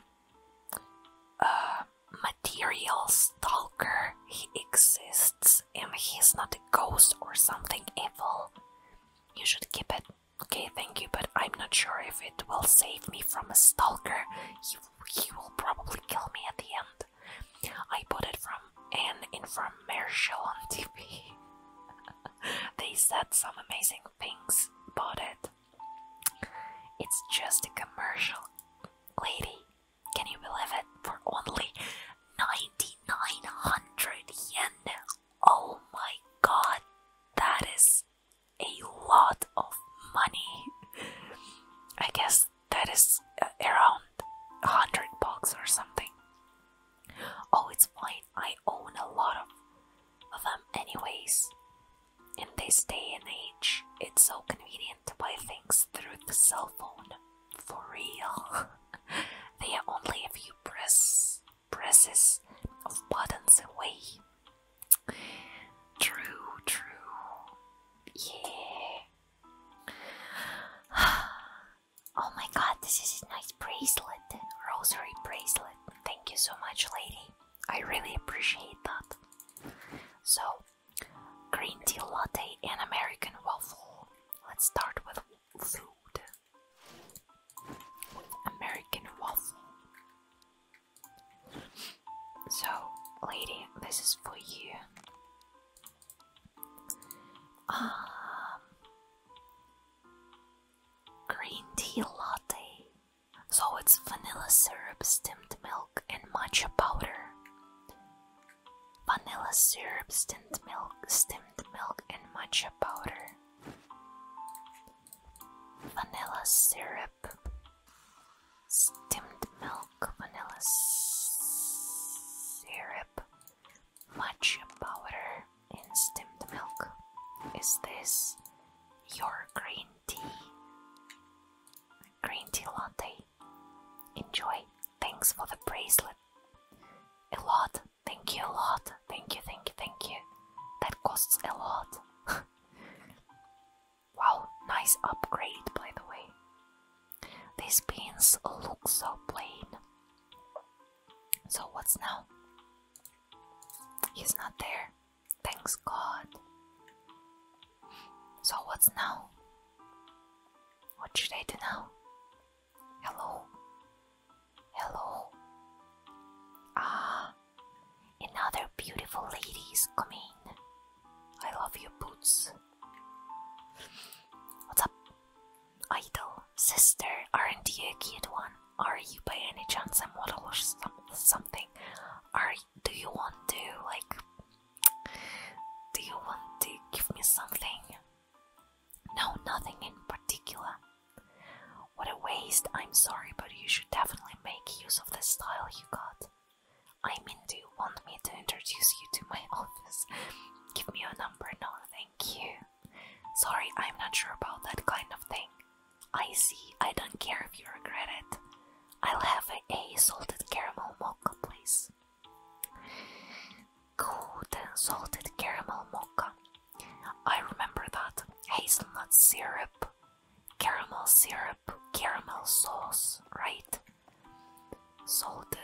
material stalker, he exists and he's not a ghost or something evil. You should keep it. Okay, thank you, but I'm not sure if it will save me from a stalker. He, he will probably kill me at the end. I bought it from an infomercial on TV. they said some amazing things about it. It's just a commercial. Lady, can you believe it? For only 9900 yen. Oh my god, that is a lot of money. I guess that is uh, around 100 bucks or something. Oh, it's fine. I own a lot of, of them, anyways. In this day and age, it's so convenient to buy things through the cell phone. For real. they are only a few presses of buttons away. True, true. Yeah. oh my god, this is a nice bracelet. Rosary bracelet. Thank you so much, lady. I really appreciate that. So, green tea latte and American waffle. Let's start with food. American waffle. So, lady, this is for you. Um, green tea latte. So it's vanilla syrup, steamed milk, and matcha powder. Vanilla syrup, steamed milk, steamed milk, and matcha powder. Vanilla syrup, milk, milk, vanilla syrup, matcha powder, in stemmed milk. Is this your green tea? Green tea latte. Enjoy. Thanks for the bracelet. A lot. Thank you a lot. Thank you, thank you, thank you. That costs a lot. Wow, nice upgrade by the way. These pins look so plain. So what's now? He's not there. Thanks God. So what's now? What should I do now? Hello? Hello? Ah, and other beautiful ladies come in. I love your boots. What's up? Idol, sister, aren't you a cute one? Are you by any chance a model or something? Are do you want to like? Do you want to give me something? No, nothing in particular. What a waste! I'm sorry, but you should definitely make use of the style you I mean, do you want me to introduce you to my office? Give me your number, no, thank you. Sorry, I'm not sure about that kind of thing. I see, I don't care if you regret it. I'll have a, a salted caramel mocha, please. Good salted caramel mocha. I remember that. Hazelnut syrup, caramel syrup caramel sauce, right? Salted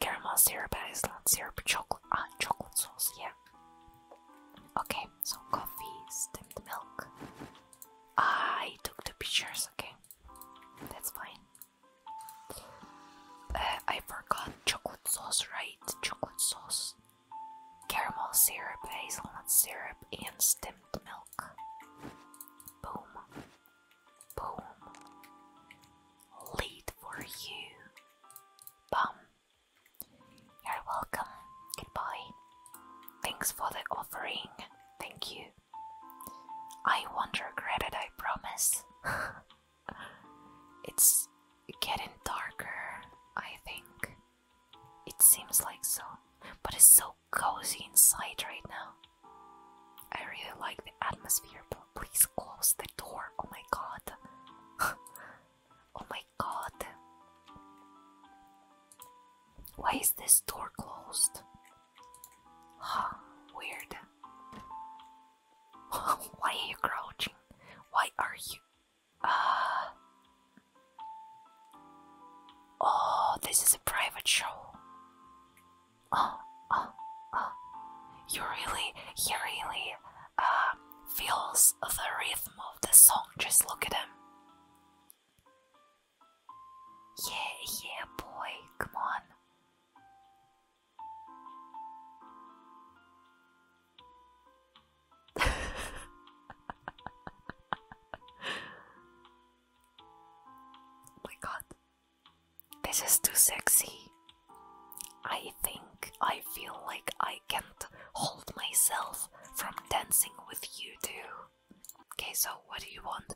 caramel syrup, Iceland syrup, chocolate, ah, chocolate sauce, yeah. Okay, so coffee, steamed milk. Ah, I took the pictures, okay. That's fine. Uh, I forgot chocolate sauce, right? Chocolate sauce, caramel syrup, hazelnut syrup, and steamed milk. Boom. Boom. Lead for you. Bum. You're welcome. Goodbye. Thanks for the offering. Thank you. I won't regret it, I promise. it's getting darker, I think. It seems like so. But it's so cozy inside right now. I really like the atmosphere, but please close the door. Oh my god. oh my god. Why is this door closed? Huh, weird. Why are you crouching? Why are you. Ah. Oh, this is a private show. Oh, oh, oh. You really, he really uh, feels the rhythm of the song. Just look at him. Yeah, yeah, boy, come on. oh my god. This is too sexy. I think I feel like I can't hold myself from dancing with you too. Okay, so what do you want?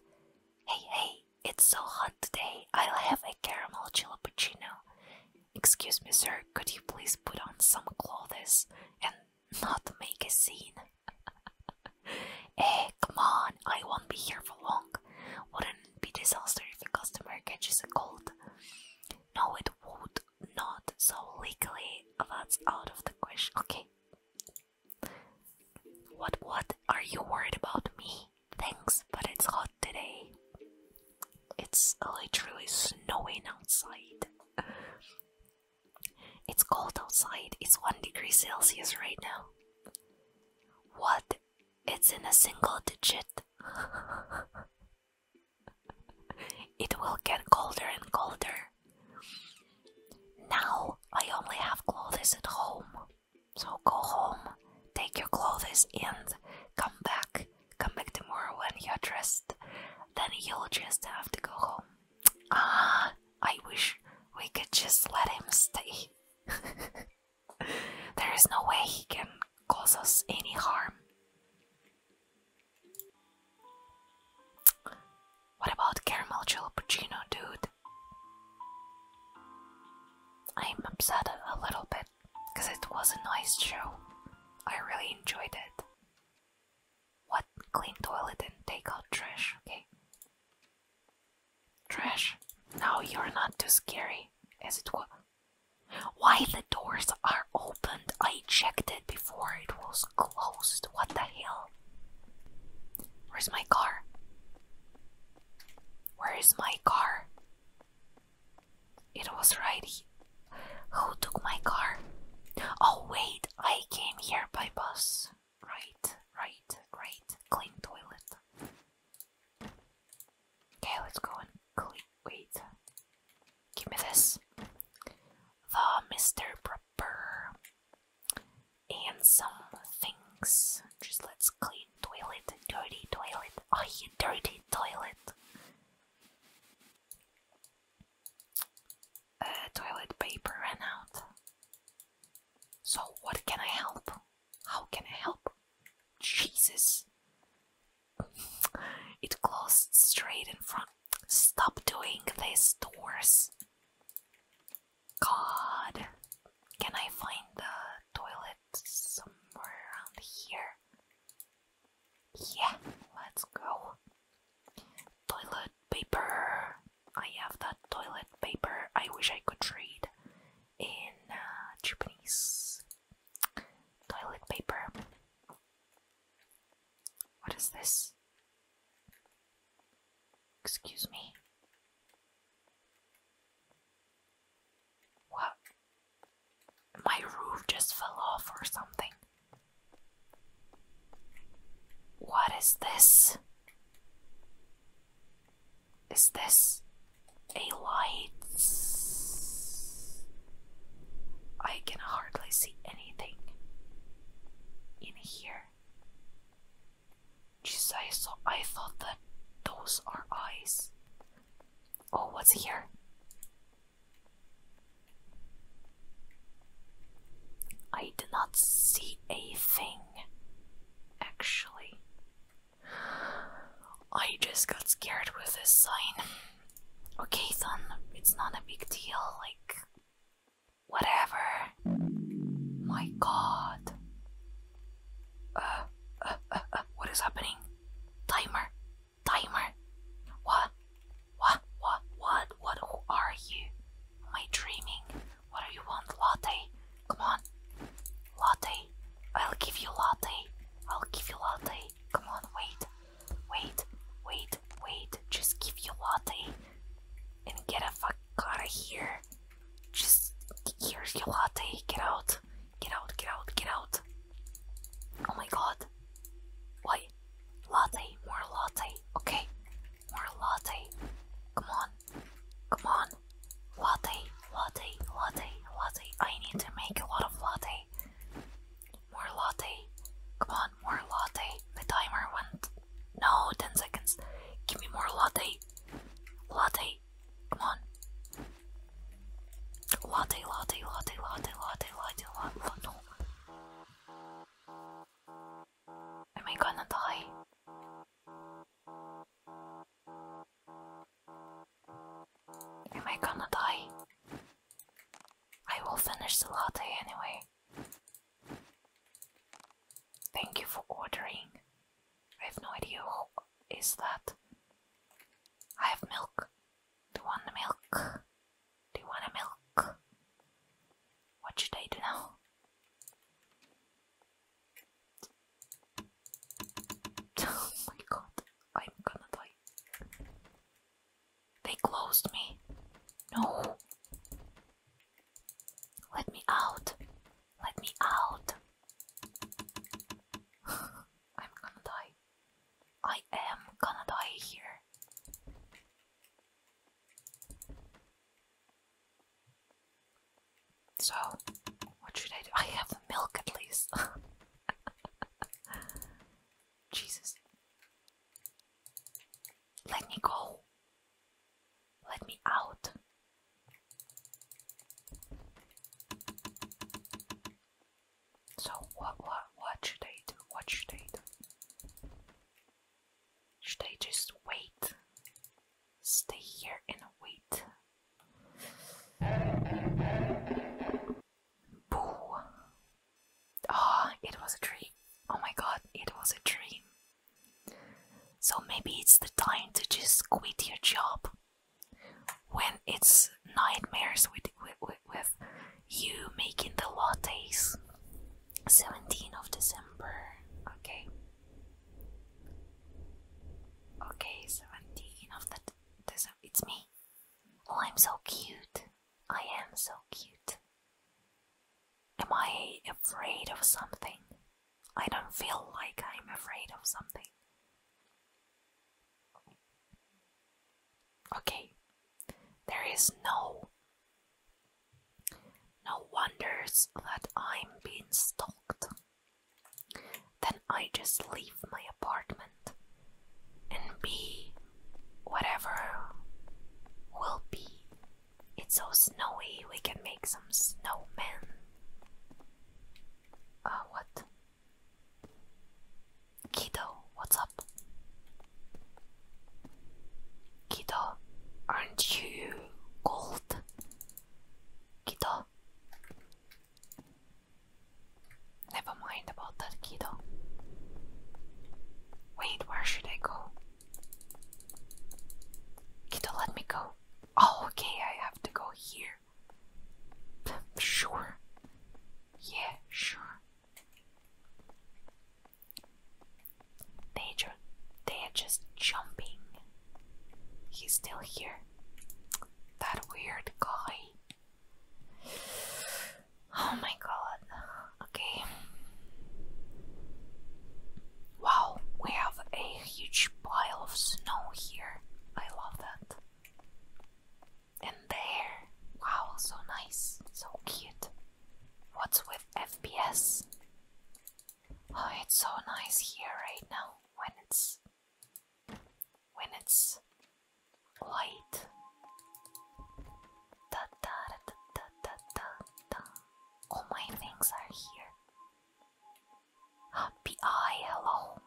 Hey, hey, it's so hot today. I'll have a caramel jalapeno. Excuse me, sir, could you please put on some clothes and not make a scene. hey, eh, come on, I won't be here for long. Wouldn't it be disaster if a customer catches a cold? No, it would not, so legally that's out of the question. Okay. What, what? Are you worried about me? Thanks, but it's hot today. It's literally snowing outside. It's cold outside. It's 1 degree Celsius right now. What? It's in a single digit. it will get colder and colder. Now I only have clothes at home. So go home, take your clothes, and come back. Come back tomorrow when you're dressed. Then you'll just have to go home. Ah, I wish we could just let him stay. there is no way he can cause us any harm. What about caramel jalappuccino, dude? I'm upset a little bit because it was a nice show. I really enjoyed it. What? Clean toilet and take out trash, okay? Trash. Now you're not too scary, as it was. Why the doors are opened? I checked it before it was closed. What the hell? Where's my car? Where is my car? It was righty. Who took my car? Oh, wait, I came here by bus. Right, right, great. Clean toilet. Okay, let's go and clean. Wait. Give me this. The Mr. Proper. And some things. Just let's clean toilet. Dirty toilet. Oh, you dirty toilet. Uh, toilet paper ran out. So, what can I help? How can I help? Jesus! It closed straight in front. Stop doing this, doors. God, can I find the toilet somewhere around here? Yeah, let's go. Toilet paper. I have that toilet paper. I wish I could read in uh, Japanese. Toilet paper. What is this? Excuse me. What? My roof just fell off or something. What is this? Is this a light? I can hardly see anything in here. Jeez, I, saw, I thought that those are eyes. Oh, what's here? I did not see a thing, actually. I just got scared with this sign. Okay, son, it's not a big deal, like, whatever. My god. Uh, uh, uh, what is happening? Timer, timer. What? What, what, what, what, who are you? Am I dreaming? What do you want, latte? Come on, latte. I'll give you latte. I'll give you latte. Come on, wait, wait, wait, wait. Just give you latte and get a fuck out of here. Just here's your latte. Get out, get out, get out, get out. Oh my god. Why? Latte, more latte. Okay, more latte. Come on. Come on. Latte, latte, latte, latte. I need to make a lot of latte. More latte. Come on, more latte. The timer went. No, 10 seconds. Give me more latte. Latte. Come on. Latte, latte, latte, latte, latte, latte, latte. No. Am I gonna die? Am I gonna die? I will finish the latte anyway. Thank you for ordering. I have no idea who is that. I have milk. Do you want milk? Do you want a milk? What should I do now? Oh my god, I'm gonna die. They closed me. No. Let me out. Let me out. I'm gonna die. I am gonna die here. So, what should I do? I have milk at least. Jesus. Let me go. Let me out. So what what what should I do? What should I do? Should I just wait? Stay here and wait. Boo! Ah, oh, it was a dream. Oh my god, it was a dream. So maybe it's the time to just quit your job. When it's nightmares with, with, with, you making the lattes. 17th of December. Okay. Okay, 17th of the December. It's me. Oh, I'm so cute. I am so cute. Am I afraid of something? I don't feel like I'm afraid of something. Okay, there is no no wonders that I'm being stalked. Then I just leave my apartment and be whatever will be. It's so snowy, we can make some snowmen. Uh, what? Kiddo, what's up? Kiddo, aren't you cold? Kiddo? Never mind about that, kiddo. Wait, where should I go? Kiddo, let me go. Oh, okay, I have to go here. Sure. Yeah, sure. They ju they are just jumping. He's still here. That weird guy. Oh my god. Okay. Wow, we have a huge pile of snow here. I love that. And there. Wow, so nice. So cute. What's with FPS? Oh, it's so nice here right now when it's when it's light. All my things are here. Happy eye, hello.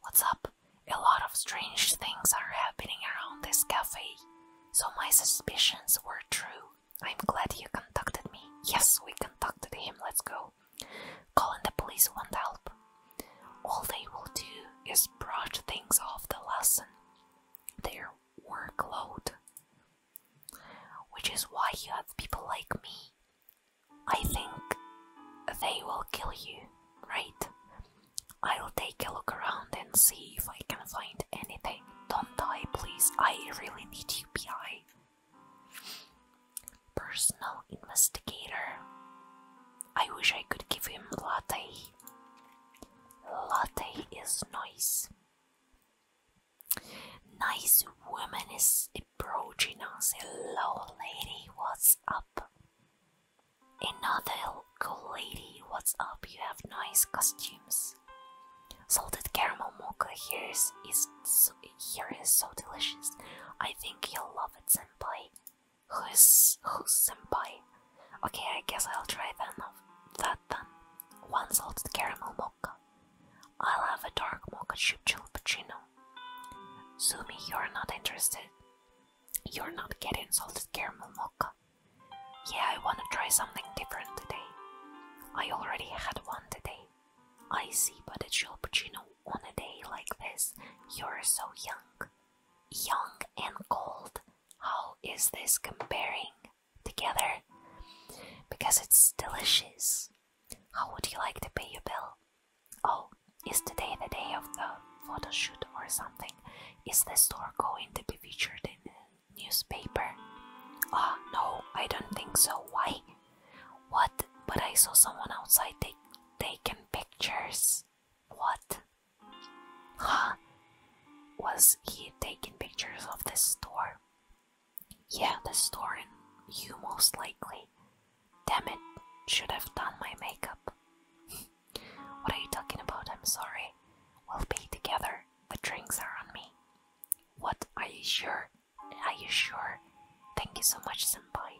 What's up? A lot of strange things are happening around this cafe, so my suspicions were true. I'm glad you contacted me. Yes, we contacted him, let's go. Calling the police won't help. All they will do is brush things off the lesson, their workload. Which is why you have people like me. I think they will kill you, right? I'll take a look around and see if I can find anything. Don't die, please. I really need UPI. Personal investigator. I wish I could give him latte. Latte is nice. Nice woman is approaching us. Hello, lady. What's up? Another cool lady. What's up? You have nice costumes. Salted caramel mocha here is, is here is so delicious. I think you'll love it, senpai. Who's who's senpai? Okay, I guess I'll try then that then. One salted caramel mocha. I'll have a dark mocha chip chilpuccino. Sumi, you're not interested. You're not getting salted caramel mocha. Yeah, I want to try something different today. I already had one today. I see, but a Gilpuccino on a day like this, you're so young. Young and cold. How is this comparing together? Because it's delicious. How would you like to pay your bill? Oh, is today the day of the photo shoot or something? Is the store going to be featured in it? newspaper. Ah, oh, no, I don't think so. Why? What? But I saw someone outside taking pictures. What? Huh? Was he taking pictures of the store? Yeah, the store and you most likely. Damn it, should have done my makeup. what are you talking about? I'm sorry. We'll be together. The drinks are on me. What are you sure? Are you sure? Thank you so much, Senpai.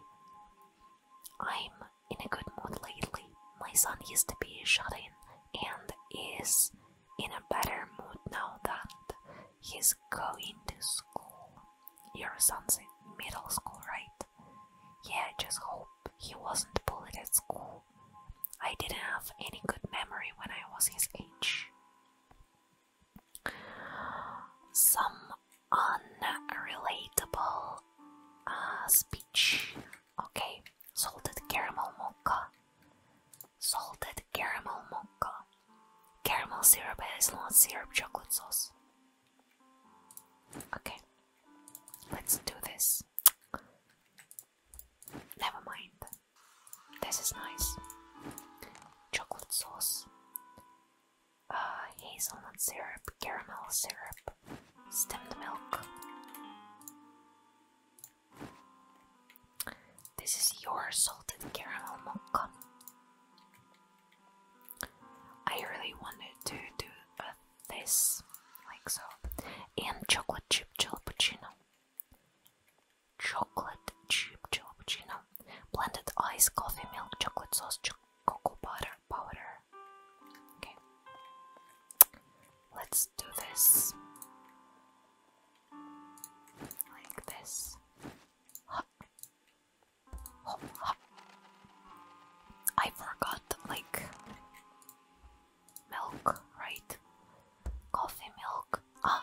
I'm in a good mood lately. My son used to be shut in and is in a better mood now that he's going to school. Your son's in middle school, right? Yeah, just hope he wasn't bullied at school. I didn't have any good memory when I was his age. Some unrelatable uh, speech. Okay, salted caramel mocha. Salted caramel mocha. Caramel syrup, hazelnut syrup, chocolate sauce. Okay, let's do this. Never mind. This is nice. Chocolate sauce, uh, hazelnut syrup, caramel syrup, stemmed milk. This is your salted caramel mocha. I really wanted to do uh, this, like so, and chocolate chip cappuccino chocolate chip cappuccino, blended ice, coffee milk, chocolate sauce, cho cocoa butter powder. Okay, let's do this like this. I forgot like milk, right? Coffee milk, ah,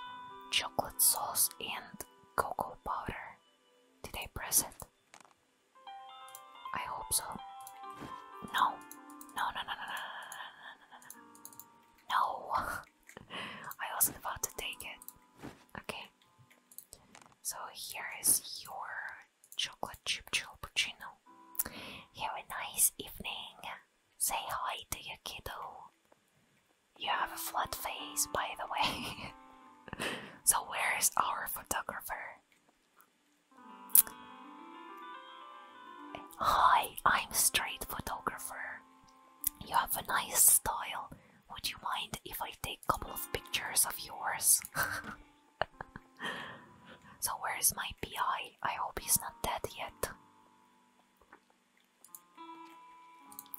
chocolate sauce and cocoa powder. Did I press it? I hope so. No, no, no, no, no, no, no, no, no, no. I wasn't about to take it. Okay. So here is your chocolate chip choppuccino. Have a nice evening. Say hi to your kiddo. You have a flat face, by the way. so, where is our photographer? Hi, I'm straight photographer. You have a nice style. Would you mind if I take a couple of pictures of yours? so, where is my PI? I hope he's not dead yet.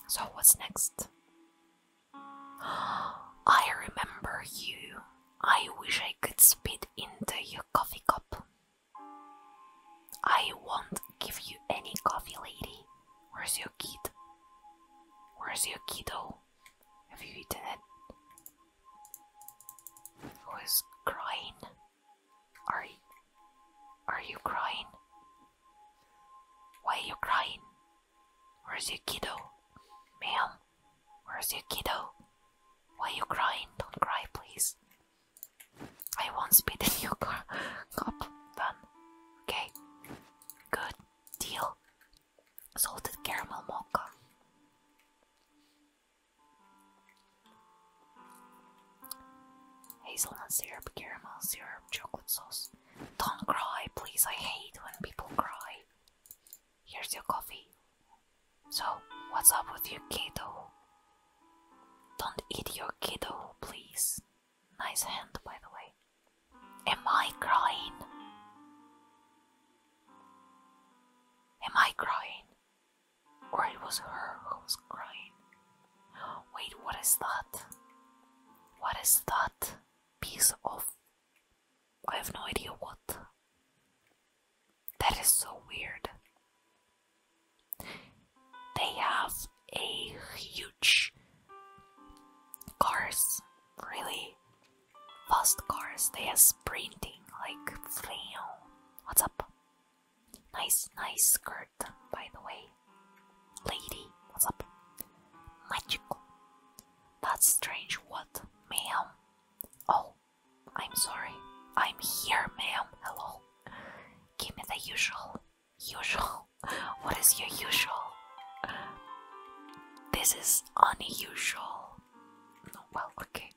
So, what's next? I remember you. I wish I could spit into your coffee cup. I won't give you any coffee, lady. Where's your kid? Where's your kiddo? Have you eaten it? Who is crying? Are you, are you crying? Why are you crying? Where's your kiddo? Ma'am, where's your kiddo? Why are you crying? Don't cry, please. I won't spit in your car cup, then. Okay. Good deal. Salted caramel mocha. Hazelnut syrup, caramel syrup, chocolate sauce. Don't cry, please. I hate when people cry. Here's your coffee. So, what's up with your kiddo? Don't eat your kiddo, please. Nice hand, by the way. Am I crying? Am I crying? Or it was her who was crying. Wait, what is that? What is that piece of. I have no idea what. That is so weird. They have a huge cars, really fast cars. They are sprinting like flew. What's up? Nice, nice skirt, by the way. Lady, what's up? Magical. That's strange, what, ma'am? Oh, I'm sorry. I'm here, ma'am. Hello. Give me the usual. Usual? What is your usual? This is unusual. well, okay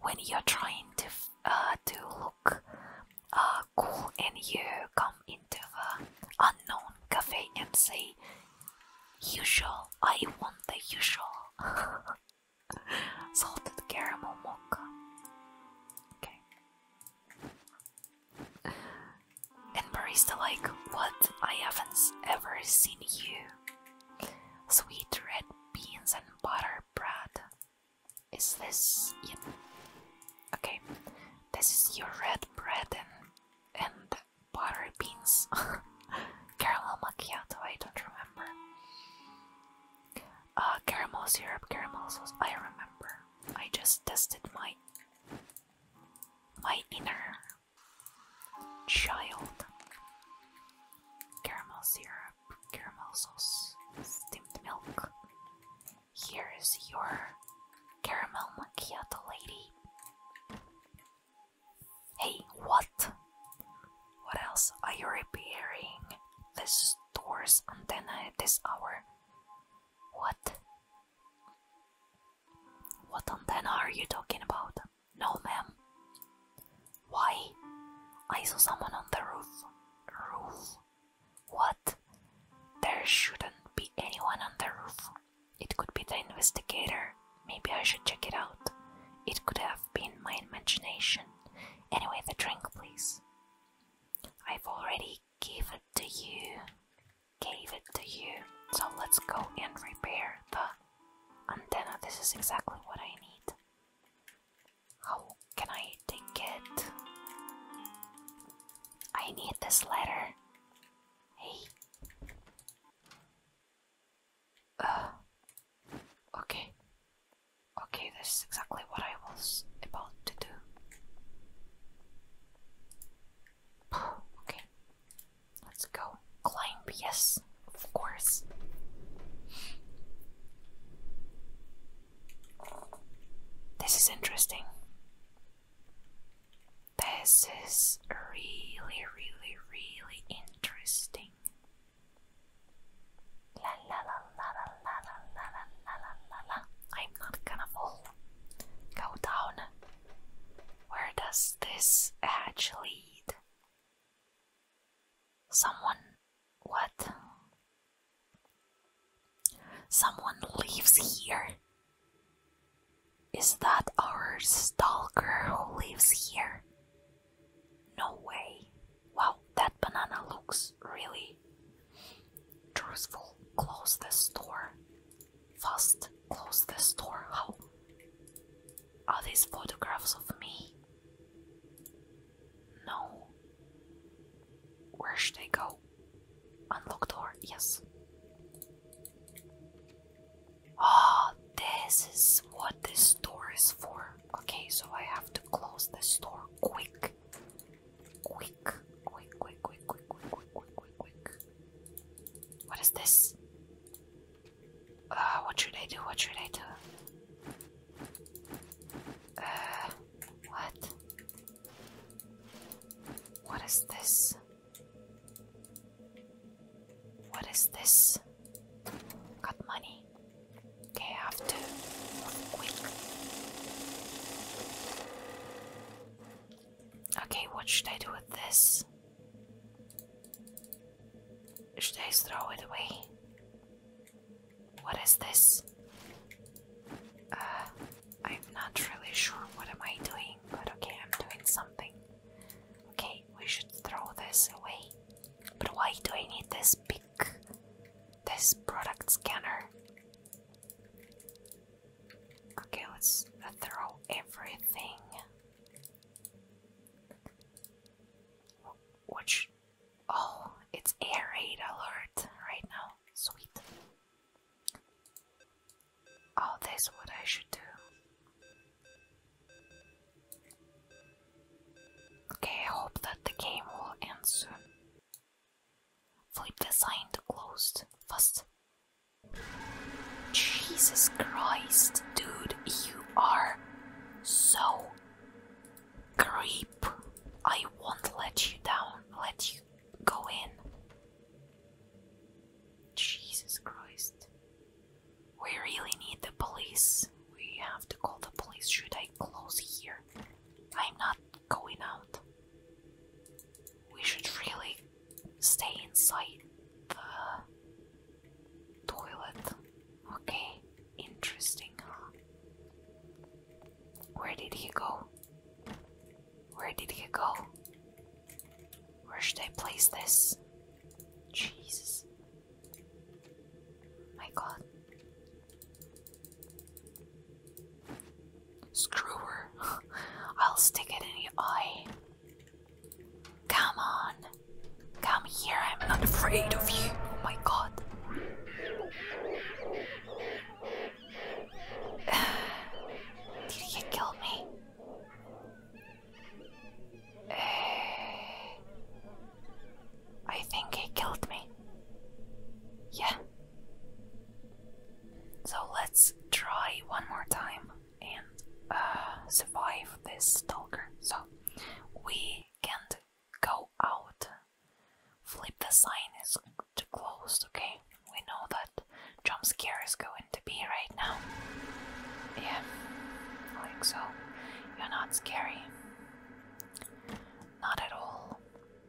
when you're trying to uh, to look uh, cool and you come into the unknown cafe and say usual I want the usual salted caramel mocha okay and Marista like what I haven't ever seen you sweet red beans and butter bread is this Okay. This is your red bread and and butter beans. caramel macchiato, I don't remember. Uh caramel syrup, caramel sauce, I remember. I just tested my my inner child. Caramel syrup caramel sauce, steamed milk. Here is your caramel macchiato lady. Hey, what? What else are you repairing? This store's antenna at this hour. What? What antenna are you talking about? No, ma'am. Why? I saw someone on the roof. Roof? What? There shouldn't be anyone on the roof. It could be the investigator. Maybe I should check it out. It could have been my imagination. Anyway, the drink, please. I've already gave it to you. Gave it to you. So let's go and repair the antenna. This is exactly what I need. How oh, can I take it? I need this letter. Hey. Uh, okay. Okay, this is exactly what I was about to do. okay. Let's go. Climb, yes, of course. This is interesting. This is really, really, really interesting. La la la la la la la la la la la I'm not gonna fall. Go down. Where does this edge lead? Someone. What? Someone lives here. Is that our stalker who lives here? No way. Wow, that banana looks really truthful. Close the door, Fast, close the door. How? Are these photographs of me? No. Where should I go? Unlock door, yes. Ah, this is what this door is for. Okay, so I have to close this door quick. Quick, quick, quick, quick, quick, quick, quick, quick, What is this? Uh, what should I do? What should I do? Uh, what? What is this? What is this? Got money. Okay, I have to quick. Okay, what should I do with this? Should I throw it away? What is this? Uh, I'm not really sure what am I doing, but okay, I'm doing something. Okay, we should throw this away. But why do I need this big, this product scanner? Okay, let's throw everything. Watch. Oh, it's air raid alert right now. Sweet. Oh, that's what I should do. Okay, I hope that the game will end soon. Flip the sign to closed. Fast. Jesus Christ, dude, you are so creep. I won't let you down, let you go in. Jesus Christ. We really need the police. We have to call the police. Should I close here? I'm not going out. We should really stay inside the toilet. Okay. Interesting, huh? Where did he go? Where did he go? Where should I place this? Jesus. My god. Screw her. I'll stick it in your eye. Come on. Come here. I'm not afraid of you. Oh my god. Did he kill me? I think he killed me. Yeah. So let's try one more time and uh, survive this stalker. So we can't go out flip the sign is to closed, okay? We know that jump scare is going to be right now. Yeah, like so. You're not scary. Not at all.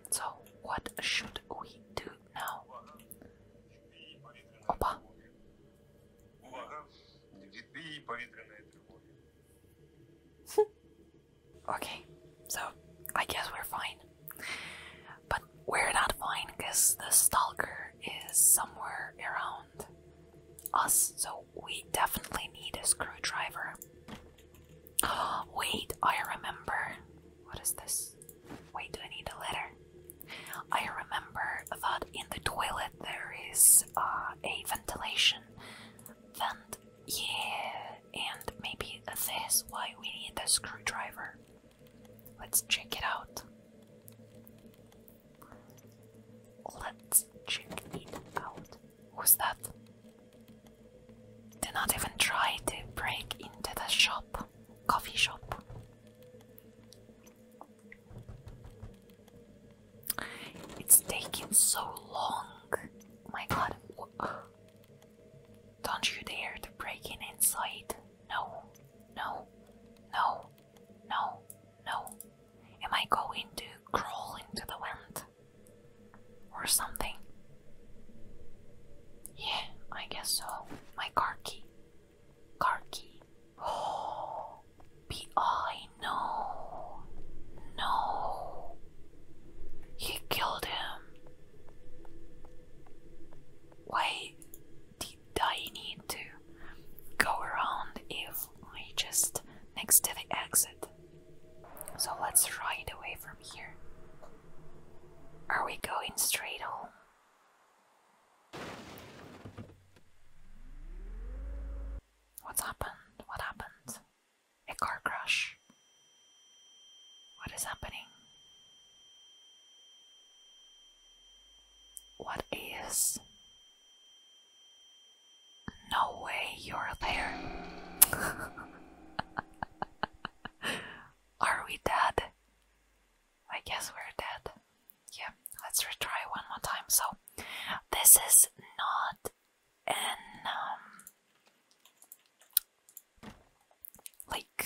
So, what should we do now? Opa! Okay, so I guess we're fine. But we're not fine because the stalker is somewhere around us, so we definitely need a screwdriver. wait, I remember. What is this? Wait, do I need a letter? I remember that in the toilet there is uh, a ventilation vent. Yeah, and maybe this is why we need a screwdriver. Let's check it out. Let's check it out. Who's that? Do not even try to break into the shop, coffee shop. It's taking so long. My god, don't you dare to break in inside. No, no, no, no, no. Am I going to crawl into the wind? Or something? Yeah, I guess so. My car key. Car key. Oh, P.I. No. No. He killed him. Why did I need to go around if we just next to the exit? So let's ride away from here. Are we going straight home? What's happened? What happened? a car crash. What is happening? What is? No way you're there. Are we dead? I guess we're dead. Yeah, let's retry one more time. So, this is not and um, like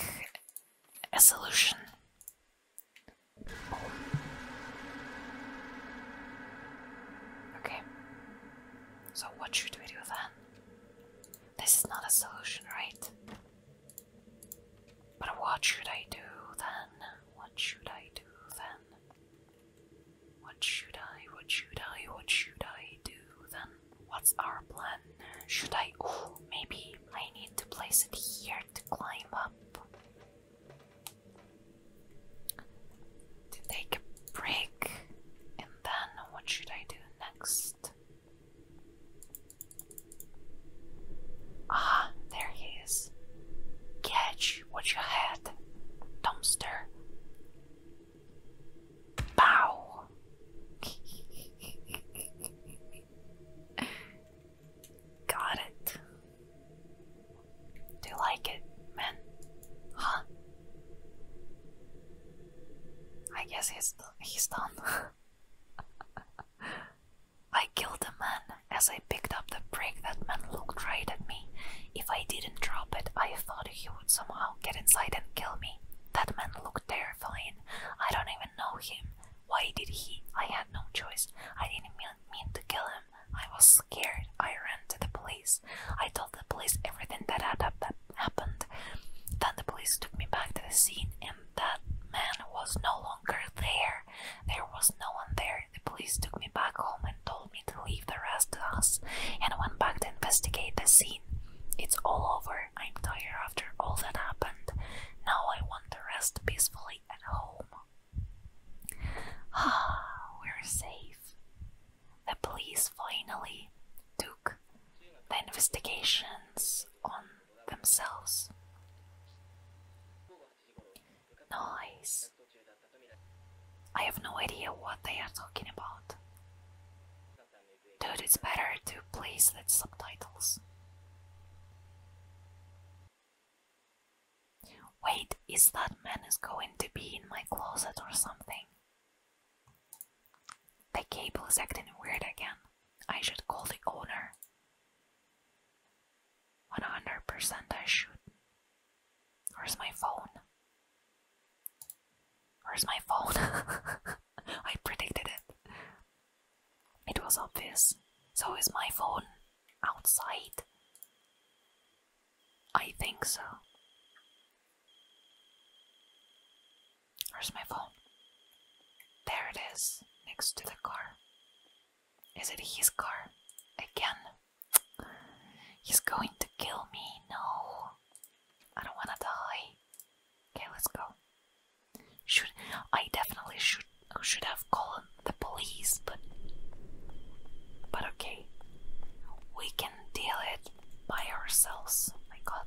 a solution. Okay, so what should we do then? This is not a solution, right? But what should I do then? What should I do then? What should I, what should I, what should I do then? What's our plan? Should I, ooh, maybe I need to place it here to climb up. To take a break, and then what should I do next? Ah, there he is. Catch what you had, dumpster. Bow. Got it. Do you like it, man? Huh? I guess he's he's done. I killed a man as I picked up the brick that man looked right at me. If I didn't drop it, I thought he would somehow get inside and kill me. That man looked terrifying. I don't even know him. Why did he? I had no choice. I didn't mean to kill him. I was scared. I ran to the police. I told the police everything that happened. Then the police took me back to the scene, and that man was no longer there. There was no one there. The police took me back home and told me to leave the rest to us, and went back to investigate the scene. It's all over. I'm tired after all that happened. Now I want to rest peacefully at home. Ah, we're safe. The police finally took the investigations on themselves. Nice. I have no idea what they are talking about. Dude, it's better to place the subtitles. Wait, is that man is going to be in my closet or something? The cable is acting weird again. I should call the owner. 100% I should. Where's my phone? Where's my phone? I predicted it. It was obvious. So is my phone outside? I think so. Where's my phone? There it is, next to the car. Is it his car? Again. He's going to kill me, no. I don't wanna die. Okay, let's go. Should I definitely should should have called the police, but but okay, we can deal it by ourselves. my God.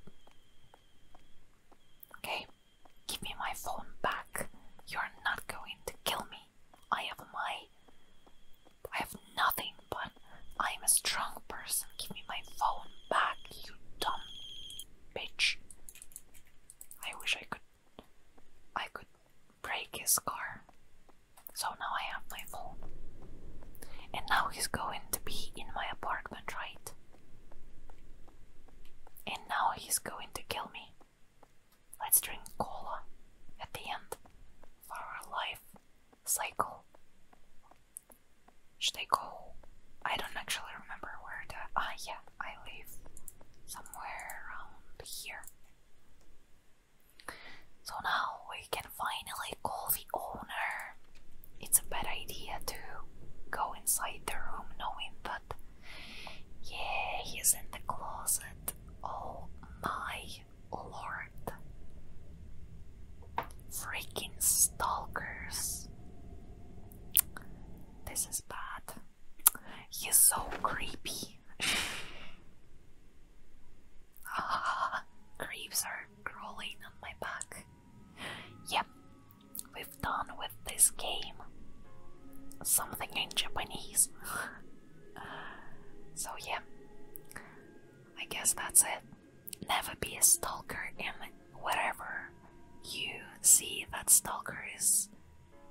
Okay, give me my phone back. You're not going to kill me. I have my. I have nothing but I'm a strong person. Give me my phone back, you dumb bitch. I wish I could I could break his car. So now I have my phone. And now he's going to be in my apartment, right? And now he's going to kill me. Let's drink cola at the end for our life cycle. Should I go? I don't actually remember where the. Ah, yeah, I live somewhere around here. So now we can finally call the owner. It's a bad idea to go inside the room knowing that. Yeah, he's in the closet. Oh my lord. Freaking stalkers. This is bad. He's so creepy. ah, creeps are crawling on my back. Yep, we've done with this game. Something in Japanese. so, yeah, I guess that's it never be a stalker and wherever you see that stalker is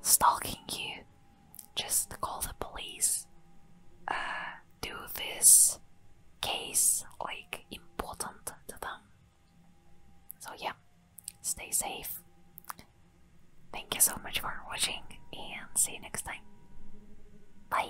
stalking you just call the police uh, do this case like important to them so yeah stay safe thank you so much for watching and see you next time bye